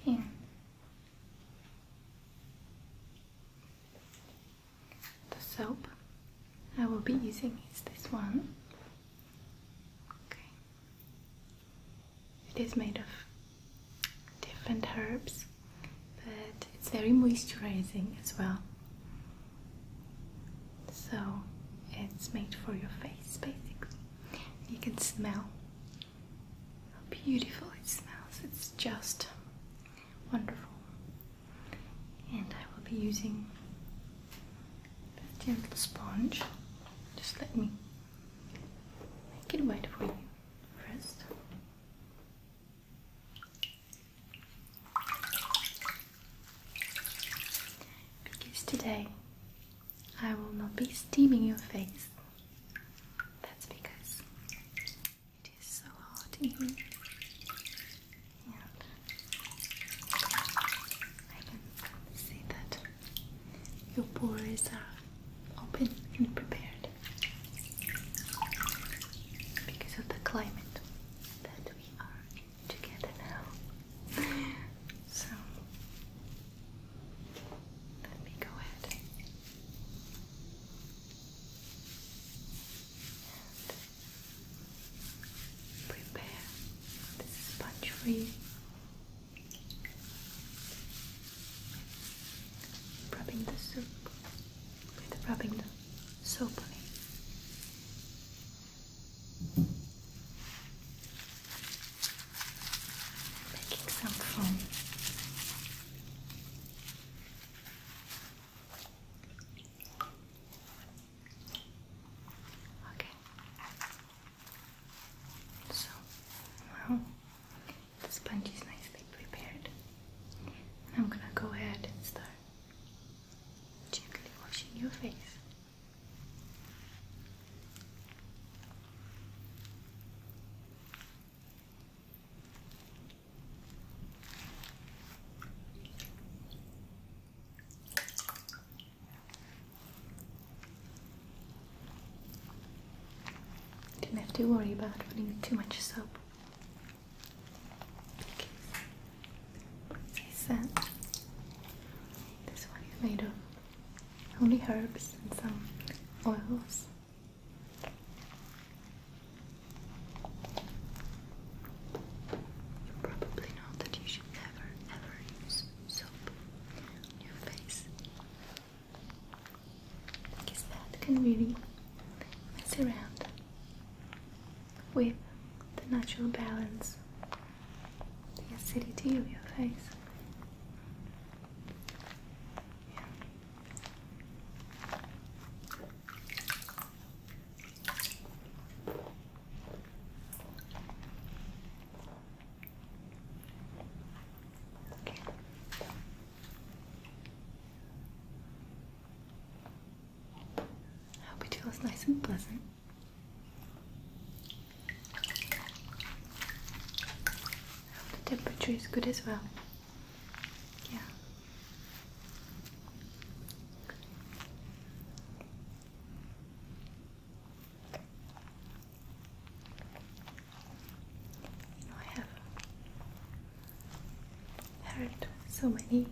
Here. The soap I will be using is this one. Okay. It is made of different herbs, but it's very moisturizing as well. So it's made for your face basically. You can smell how beautiful it smells. It's just wonderful. And I will be using a gentle sponge. Just let me make it white for you first. Because today I will not be steaming your face. That's because it is so hot in here. I can see that your pores are open and prepared because of the climate that we are in together now. So let me go ahead and prepare this sponge for you. Rubbing the soup with rubbing the soap on it. Making some foam. Okay. So now the sponge is nicely prepared. I'm gonna go ahead and start gently washing your face. Didn't have to worry about putting too much soap. Okay. So this one is made of only herbs and some oils. probably know that you should never ever use soap your face because that can really mess around with the natural balance, the acidity of your face. I hope you feel nice and pleasant. the temperature is good as well. Yeah. I have heard so many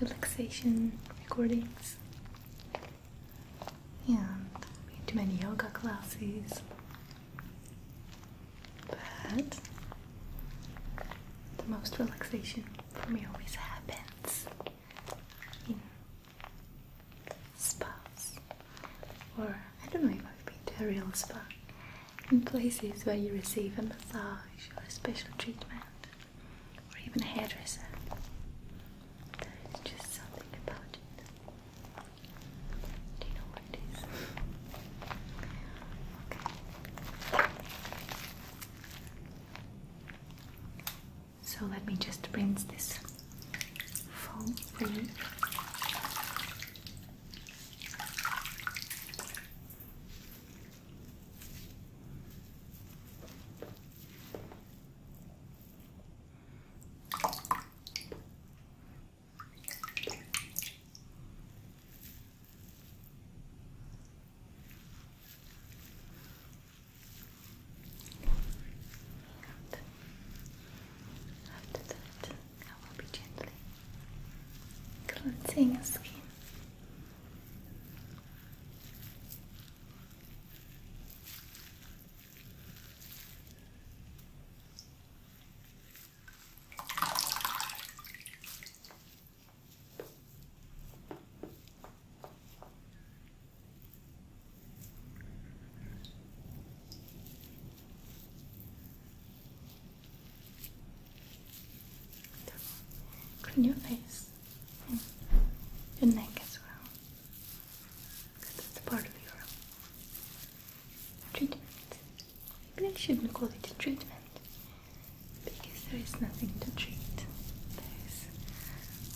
relaxation recordings and been many yoga classes, but the most relaxation for me always happens spas, or I don't know if I've been to a real spa, in places where you receive a massage or a special treatment, or even a hairdresser. just something about it. Do you know what it is? So let me just rinse this foam for you. And after that, I will be gently cleansing your skin. Clean your face and your neck as well, because that's a part of your treatment. Maybe I shouldn't call it a treatment, because there is nothing to treat. There is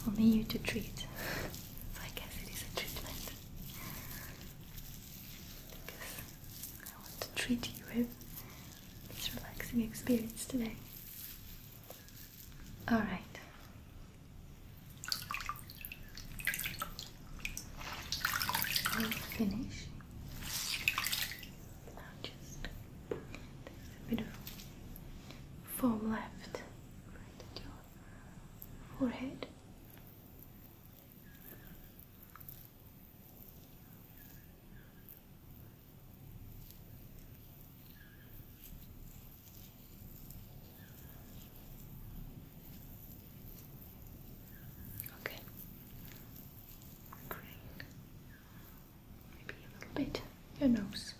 only you to treat. So I guess it is a treatment. Because I want to treat you with this relaxing experience today. Alright. finish. Now just a bit of foam left your forehead. Okay. Maybe a little bit your nose.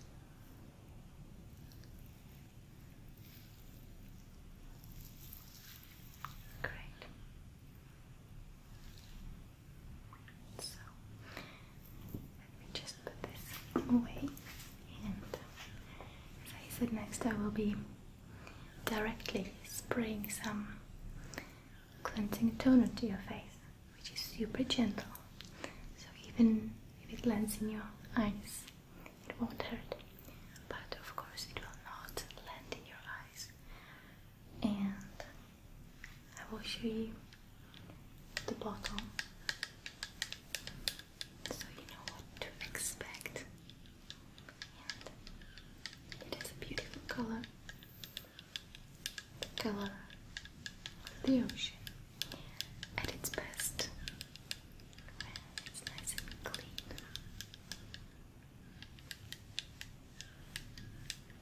Great. So let me just put this away, and as I said, next I will be directly spraying some cleansing toner to your face, which is super gentle. So even if it lands in your eyes, it won't hurt, but of course, it will not land in your eyes. And I will show you the bottle so you know what to expect. And it is a beautiful color the color of the ocean at its best when it's nice and clean.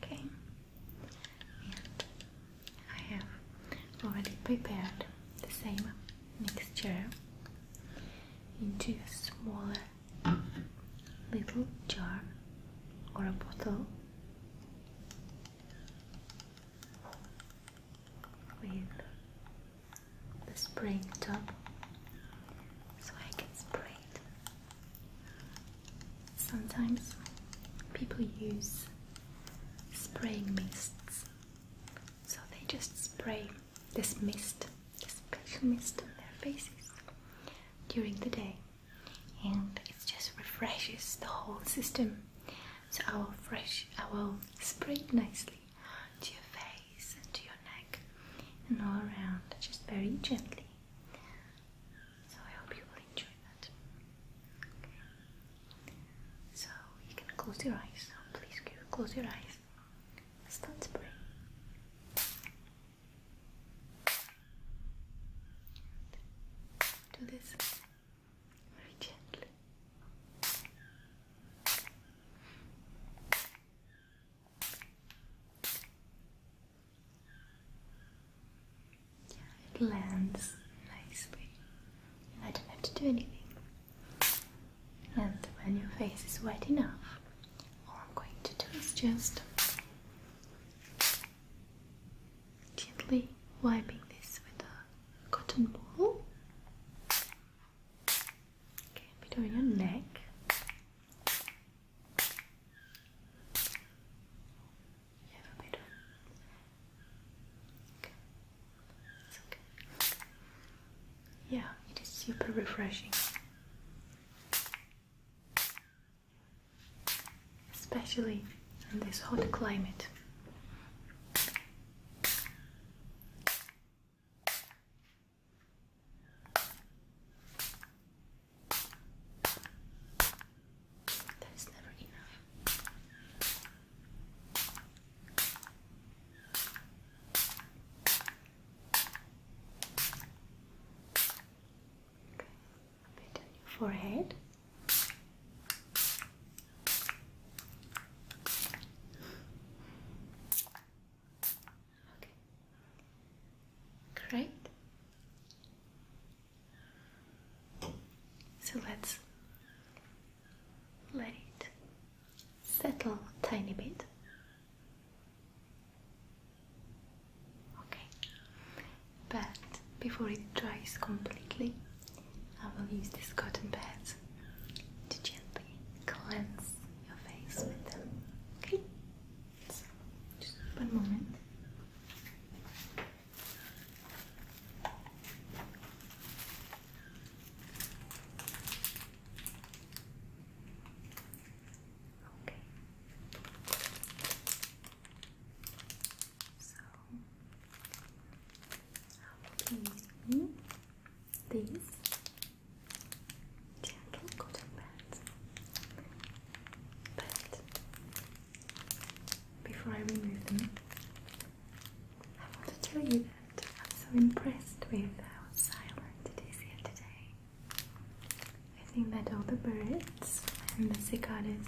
Okay, and I have already prepared the same mixture into a smaller little jar or a bottle with the spray top so I can spray it. Sometimes people use spraying mists, so they just spray this mist, this special mist on their faces during the day, and it just refreshes the whole system. So I will fresh, I will spray nicely to your face and to your neck and all around, just very gently. So I hope you will enjoy that. So you can close your eyes. please close your eyes. Start spraying. Do this it lands nicely. I don't have to do anything. And when your face is wet enough, all oh, I'm going to do is just gently wiping this with a cotton ball. Okay, a bit on your neck. Yeah, it is super refreshing. Especially in this hot climate. That is never enough. Okay, a bit on your forehead. Okay. Great. So let's let it settle a tiny bit. Okay. But before it dries completely, I will use this cotton pad to gently cleanse your face with them. Okay? just one moment. Okay. So I will be using these gentle cotton pads. But before I remove them, I want to tell you that I'm so impressed with how silent it is here today. I think that all the birds and the cicadas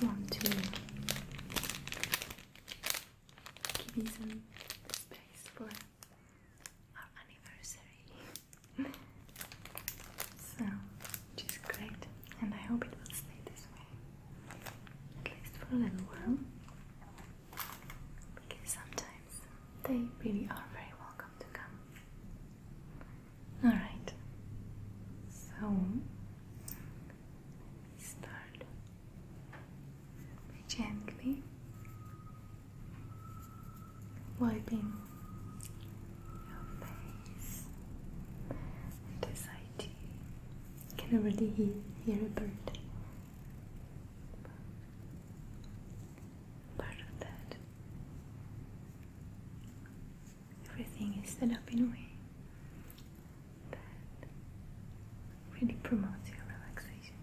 one, two. give me some space for our anniversary. so, which is great, and I hope it will stay this way at least for a little while because sometimes they really are very welcome to come. Alright, so start by gently wiping your face with this Can already hear, hear a bird. Part of that everything is set up in a way that really promotes your relaxation.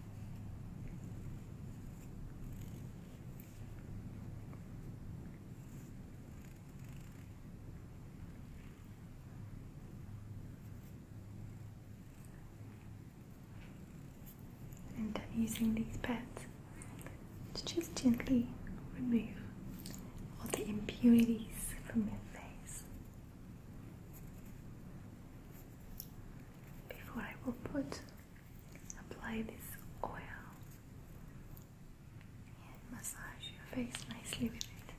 And I'm using these pads to just gently remove all the impurities from your face. Before I will put apply this oil and massage your face nicely with it.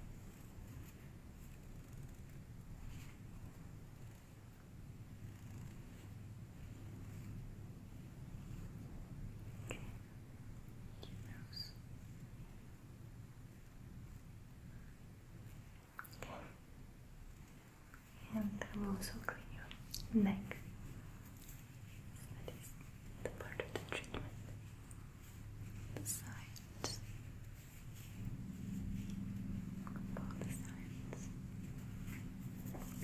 Okay. And I will also clean your neck. That is the part of the treatment. The sides. Both sides.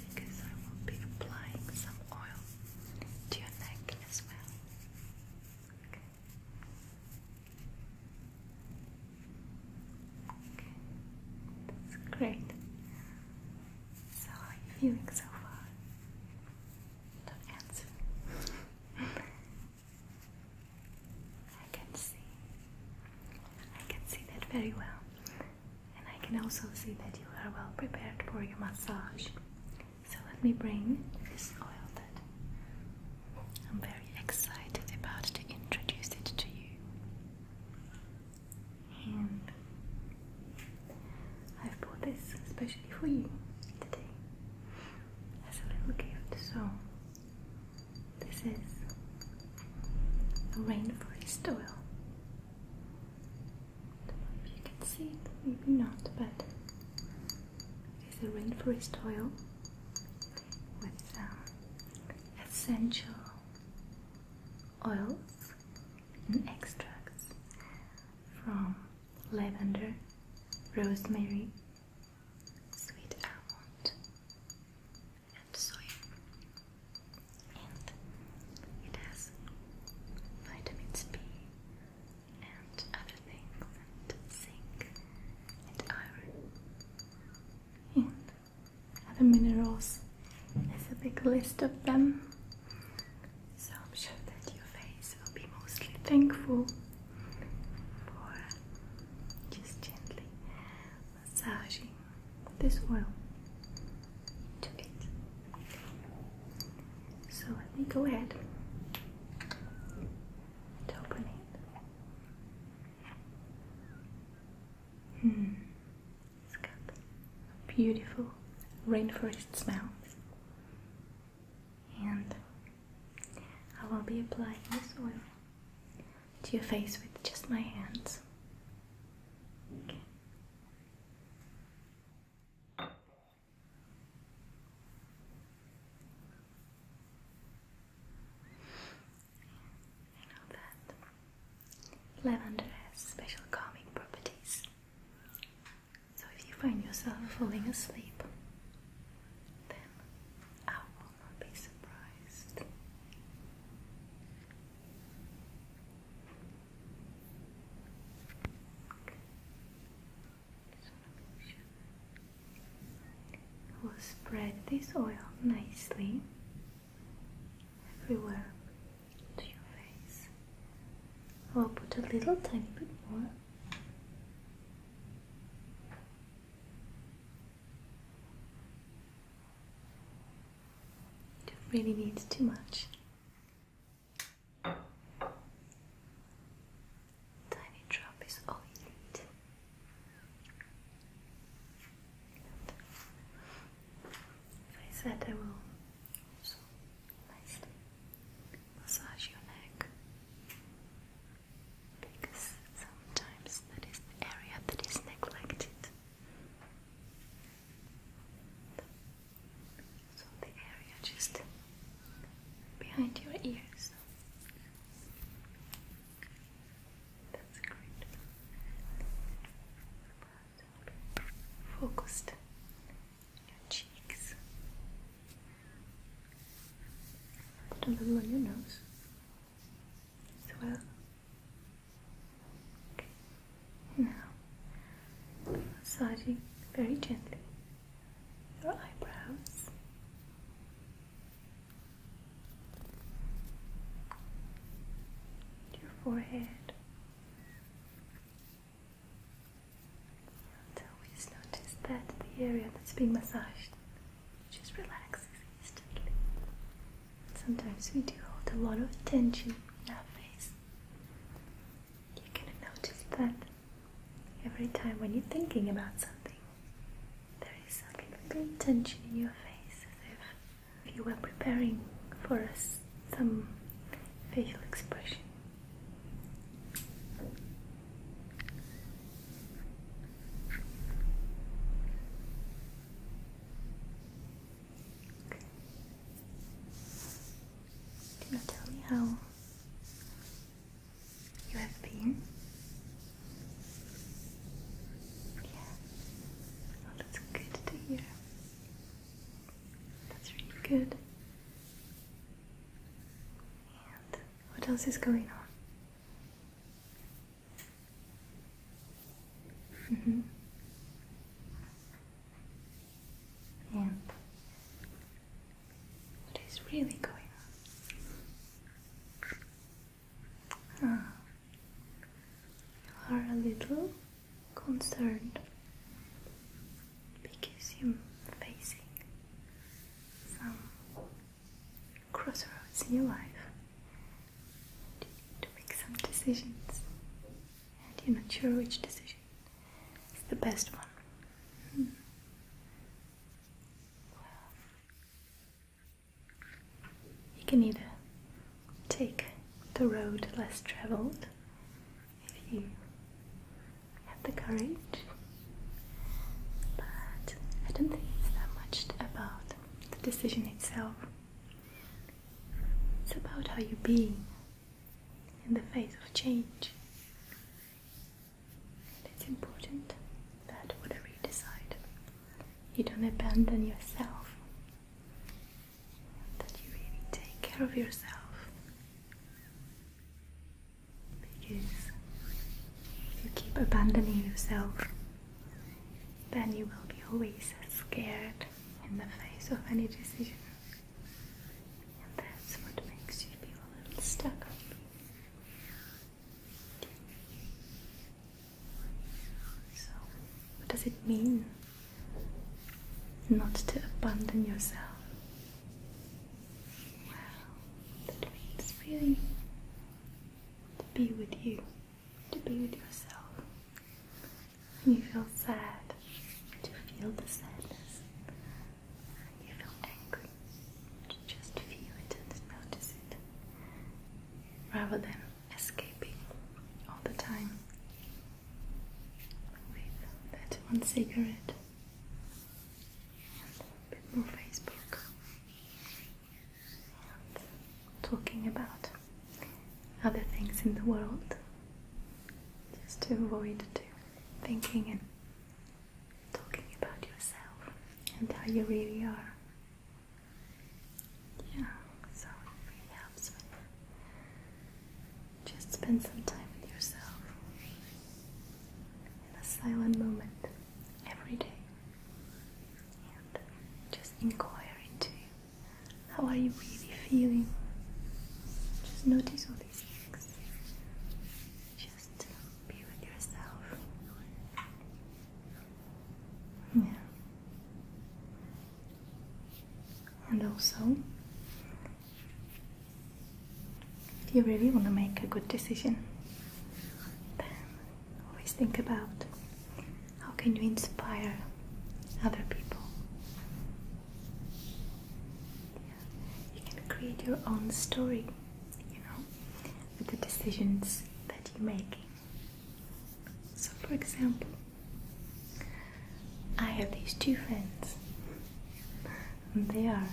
Because I will be applying some oil to your neck as well that's great. So, how are you feeling so far? Don't answer. I can see. I can see that very well. And I can also see that you are well prepared for your massage. So let me bring this oil that I'm very excited about to introduce it to you. And I've bought this especially for you today as a little gift. So this is a rainforest oil. if you can see maybe not, but it's a rainforest oil with um, essential oils and extracts from lavender, rosemary, sweet almond, and soy. And it has vitamins B, and other things, and zinc and iron and other minerals. There's a big list of them. So I'm sure that your face will be mostly thankful for just gently massaging this oil to it. So let me go ahead and open it. Hmm. It's got beautiful rainforest smell. And I will be applying this oil to your face with just my hands. You know that lavender has special calming properties. So if you find yourself falling asleep, then I will not be surprised. I will spread this oil nicely everywhere to your face. I will put a little tiny bit more. It really needs too much. Tiny drop is all you need. I said I will also nicely massage your neck because sometimes that is the area that is neglected. So the area just behind your ears. That's great. Focused on your cheeks. a little on your nose as well. Okay. Now, massaging very gently your eyebrows. Your forehead and always notice that the area that's being massaged just relaxes instantly. Sometimes we do hold a lot of tension in our face. You're gonna notice that Every time when you're thinking about something, there is some little tension in your face, as if you were preparing for us some facial expression. Can you tell me how you have been? Yeah. Oh, that's good to hear. That's really good. And what else is going on? Mm -hmm. And what is really going on? Ah. you are a little concerned because you're facing some crossroads in your life. You need to make some decisions, and you're not sure which decision is the best one. Hmm you can either take the road less traveled if you have the courage, but I don't think it's that much about the decision itself. It's about how you be in the face of change. It's important that whatever you decide, you don't abandon yourself, that you really take care of yourself. Because if you keep abandoning yourself, then you will be always scared in the face of any decision. And that's what makes you feel a little stuck. So, what does it mean not to abandon yourself? Well, that means really to be with you, to be with yourself. When you feel sad, to feel the sadness. You feel angry. Just feel it and notice it. Rather than escaping all the time with that one cigarette and a bit more Facebook talking about other things in the world just to avoid thinking and talking about yourself and how you really are. Yeah, so it really helps just spend some time with yourself in a silent moment every day and just inquire into how are you really feeling. Just notice all these things just be with yourself. Yeah. And also, if you really want to make a good decision, then always think about how can you inspire other people you can create your own story, you know, with the decisions that you make. So, for example, I have these two friends, and they are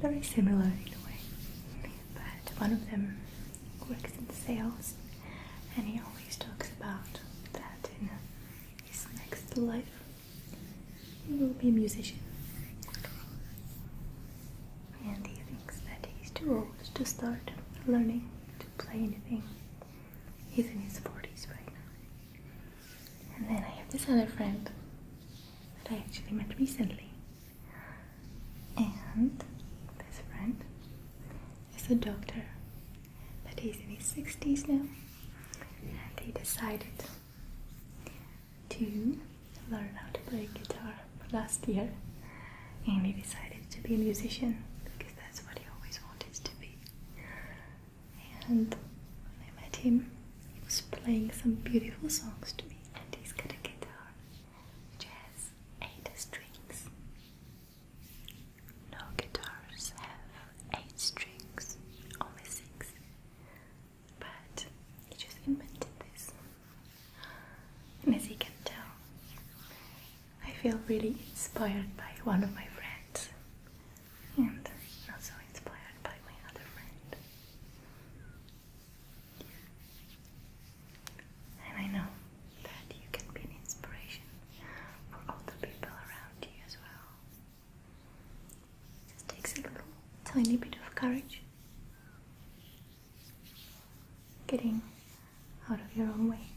very similar in a way, but one of them works in sales and he always talks about that in his next life he will be a musician. And he thinks that he's too old to start learning to play anything. He's in his 40s right now. And then I have this other friend that I actually met recently. And this friend is a doctor, but he's in his 60s now. And he decided to learn how to play guitar last year and he decided to be a musician because that's what he always wanted to be. And when I met him, he was playing some beautiful songs to me and he's got a guitar which eight strings. No guitars have eight strings, only six but he just invented this. And as you can tell, I feel really inspired by one of my friends, and also inspired by my other friend. And I know that you can be an inspiration for all the people around you as well. It takes a little tiny bit of courage. Getting out of your own way.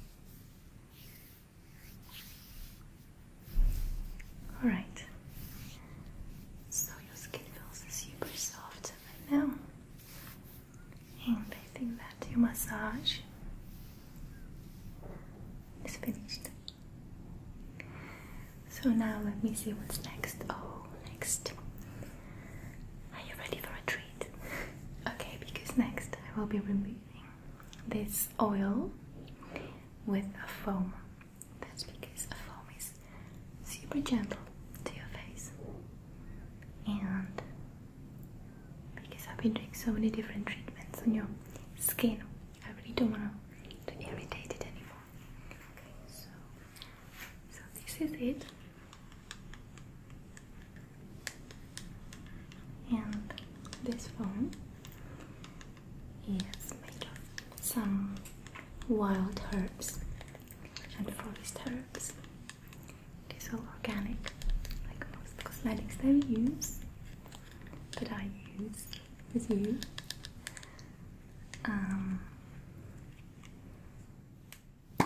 Alright, so your skin feels super soft right now, and I think that your massage is finished. So now let me see what's next. Oh, next. Are you ready for a treat? Okay, because next I will be removing this oil with a foam. That's because a foam is super gentle to your face. And because I've been doing so many different treatments on your skin, I really don't want to irritate it anymore. Okay, so so this is it. And this phone is made of some wild herbs and forest herbs. It is all organic, like most cosmetics that we use, that I use with you. Um, I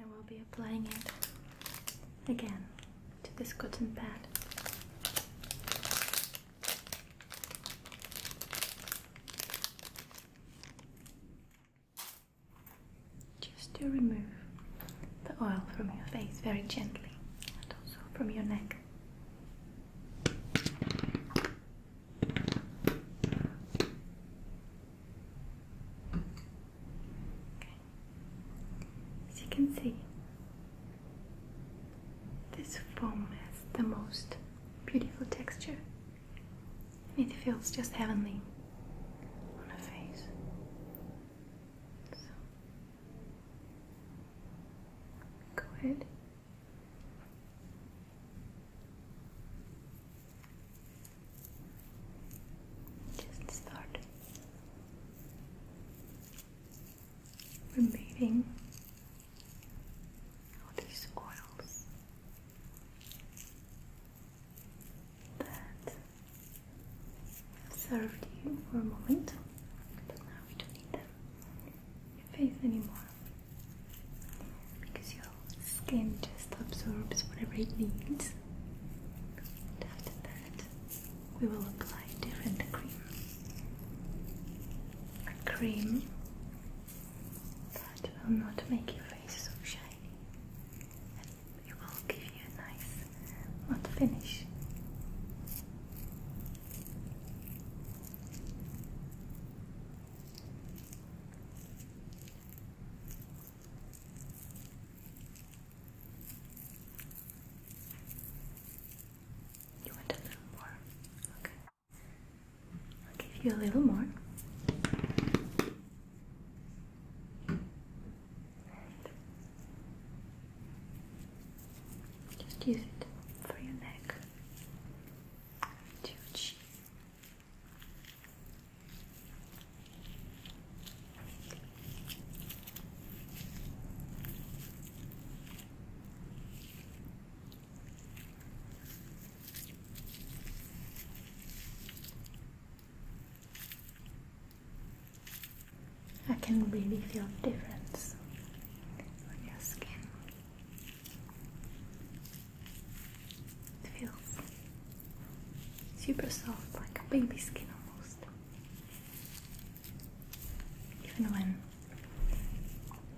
will be applying it again to this cotton pad. Just to remove the oil from your face very gently and also from your neck. As you can see, this foam has the most beautiful texture and it feels just heavenly on a face. So, go ahead just start removing all these oils that served you for a moment, but now we don't need them in your face anymore because your skin just absorbs whatever it needs. after that, we will apply different cream. A cream that will not make your face so shiny, it will give you a nice matte finish. You want a little more? Okay. I'll give you a little more. Just use it for your neck, to I can really feel the difference on your skin. It feels super soft, like a baby skin almost. Even when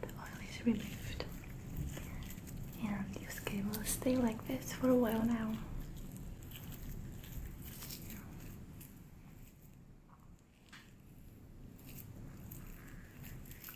the oil is removed, and your skin will stay like this for a while now.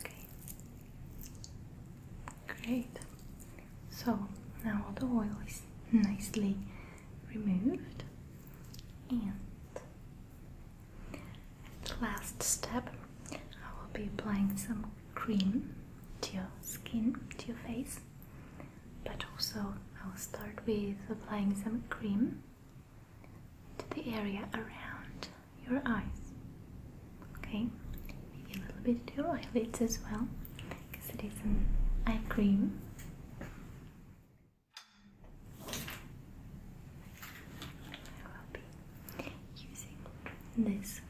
Okay. Great. So now all the oil is nicely removed, and at last step, I will be applying some cream to your skin, to your face, but also I'll start with applying some cream to the area around your eyes. Okay, maybe a little bit to your eyelids as well, because it is an eye cream. I will be using this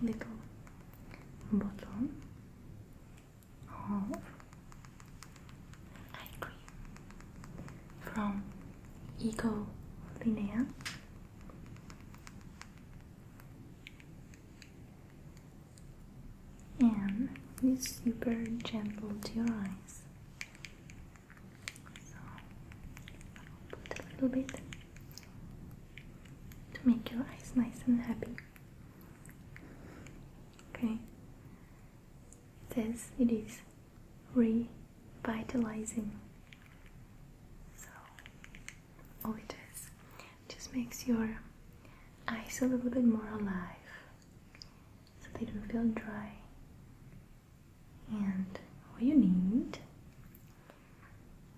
little bottle eye cream from Eco Linea. And it's super gentle to your eyes. So I'll put a little bit to make your eyes nice and happy. Okay. It it is revitalizing. So, all it is just makes your eyes a little bit more alive so they don't feel dry. And all you need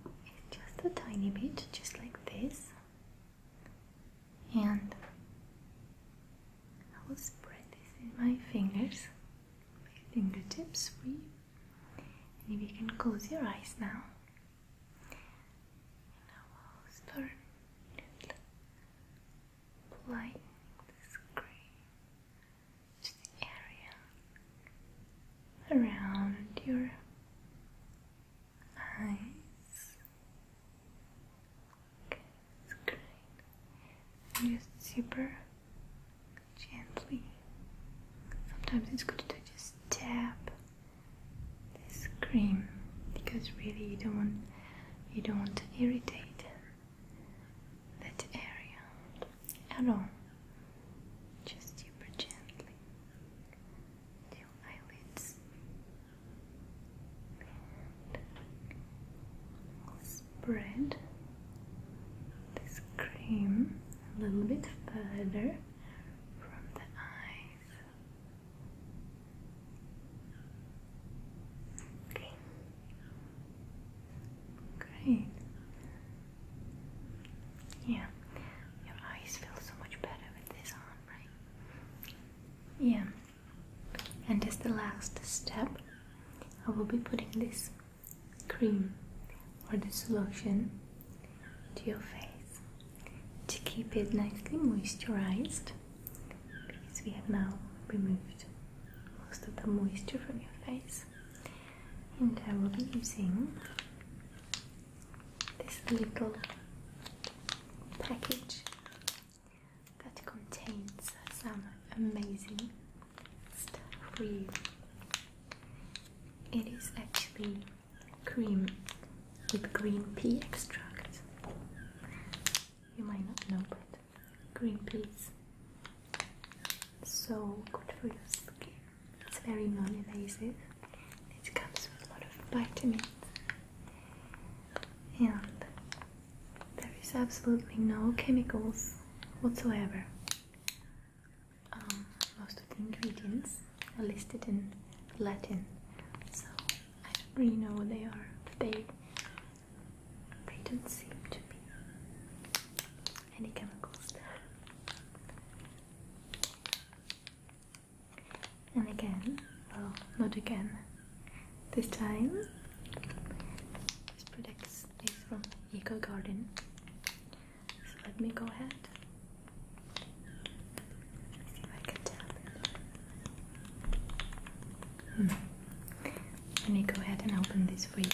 is just a tiny bit, just like this, and I will spread this in my fingers, my fingertips for you. And if you can close your eyes now, I will start applying this cream to the area around your eyes spine. Just super gently. Sometimes it's good to just tap this cream because really you don't want you don't want to irritate that area at all. Just super gently. Your eyelids spread this cream a little bit further from the eyes. Okay. Great. Yeah. Your eyes feel so much better with this on, right? Yeah and as the last step I will be putting this cream or this solution to your face to keep it nicely moisturized because we have now removed most of the moisture from your face and I will be using this little package that contains some amazing stuff It is actually cream with green pea extract. You might not know, but green peas so good for your skin. It's very non-invasive. It comes with a lot of vitamins and there is absolutely no chemicals whatsoever. Um, most of the ingredients are listed in Latin, so I don't really know what they are, but they, they don't seem to be any chemicals And again, well, not again, this time this product is from eco garden so let me go ahead let if I can tap hmm. let me go ahead and open this for you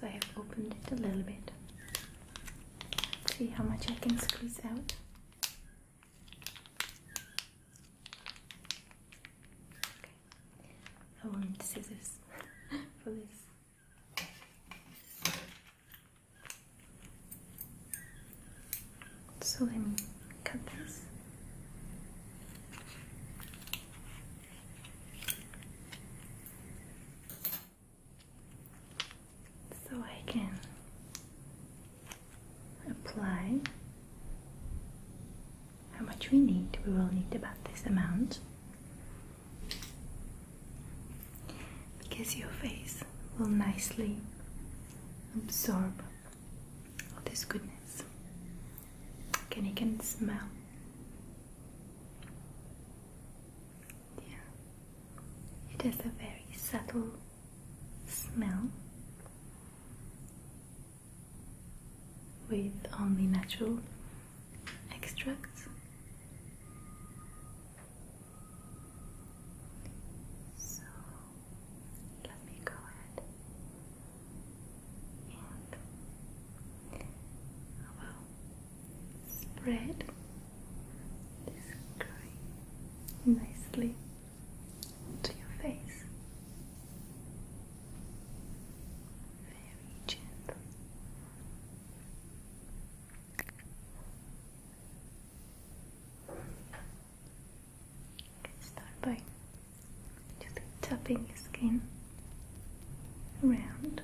so I have opened it a little bit see how much I can squeeze out I want scissors for this. So let me cut this. So I can apply how much we need. We will need about this amount because your face will nicely absorb all this goodness. Can you can smell? Yeah. It has a very subtle smell with only natural extracts. So let me go ahead and I will spread this cream nicely to your face very gently. start by just tapping your skin around.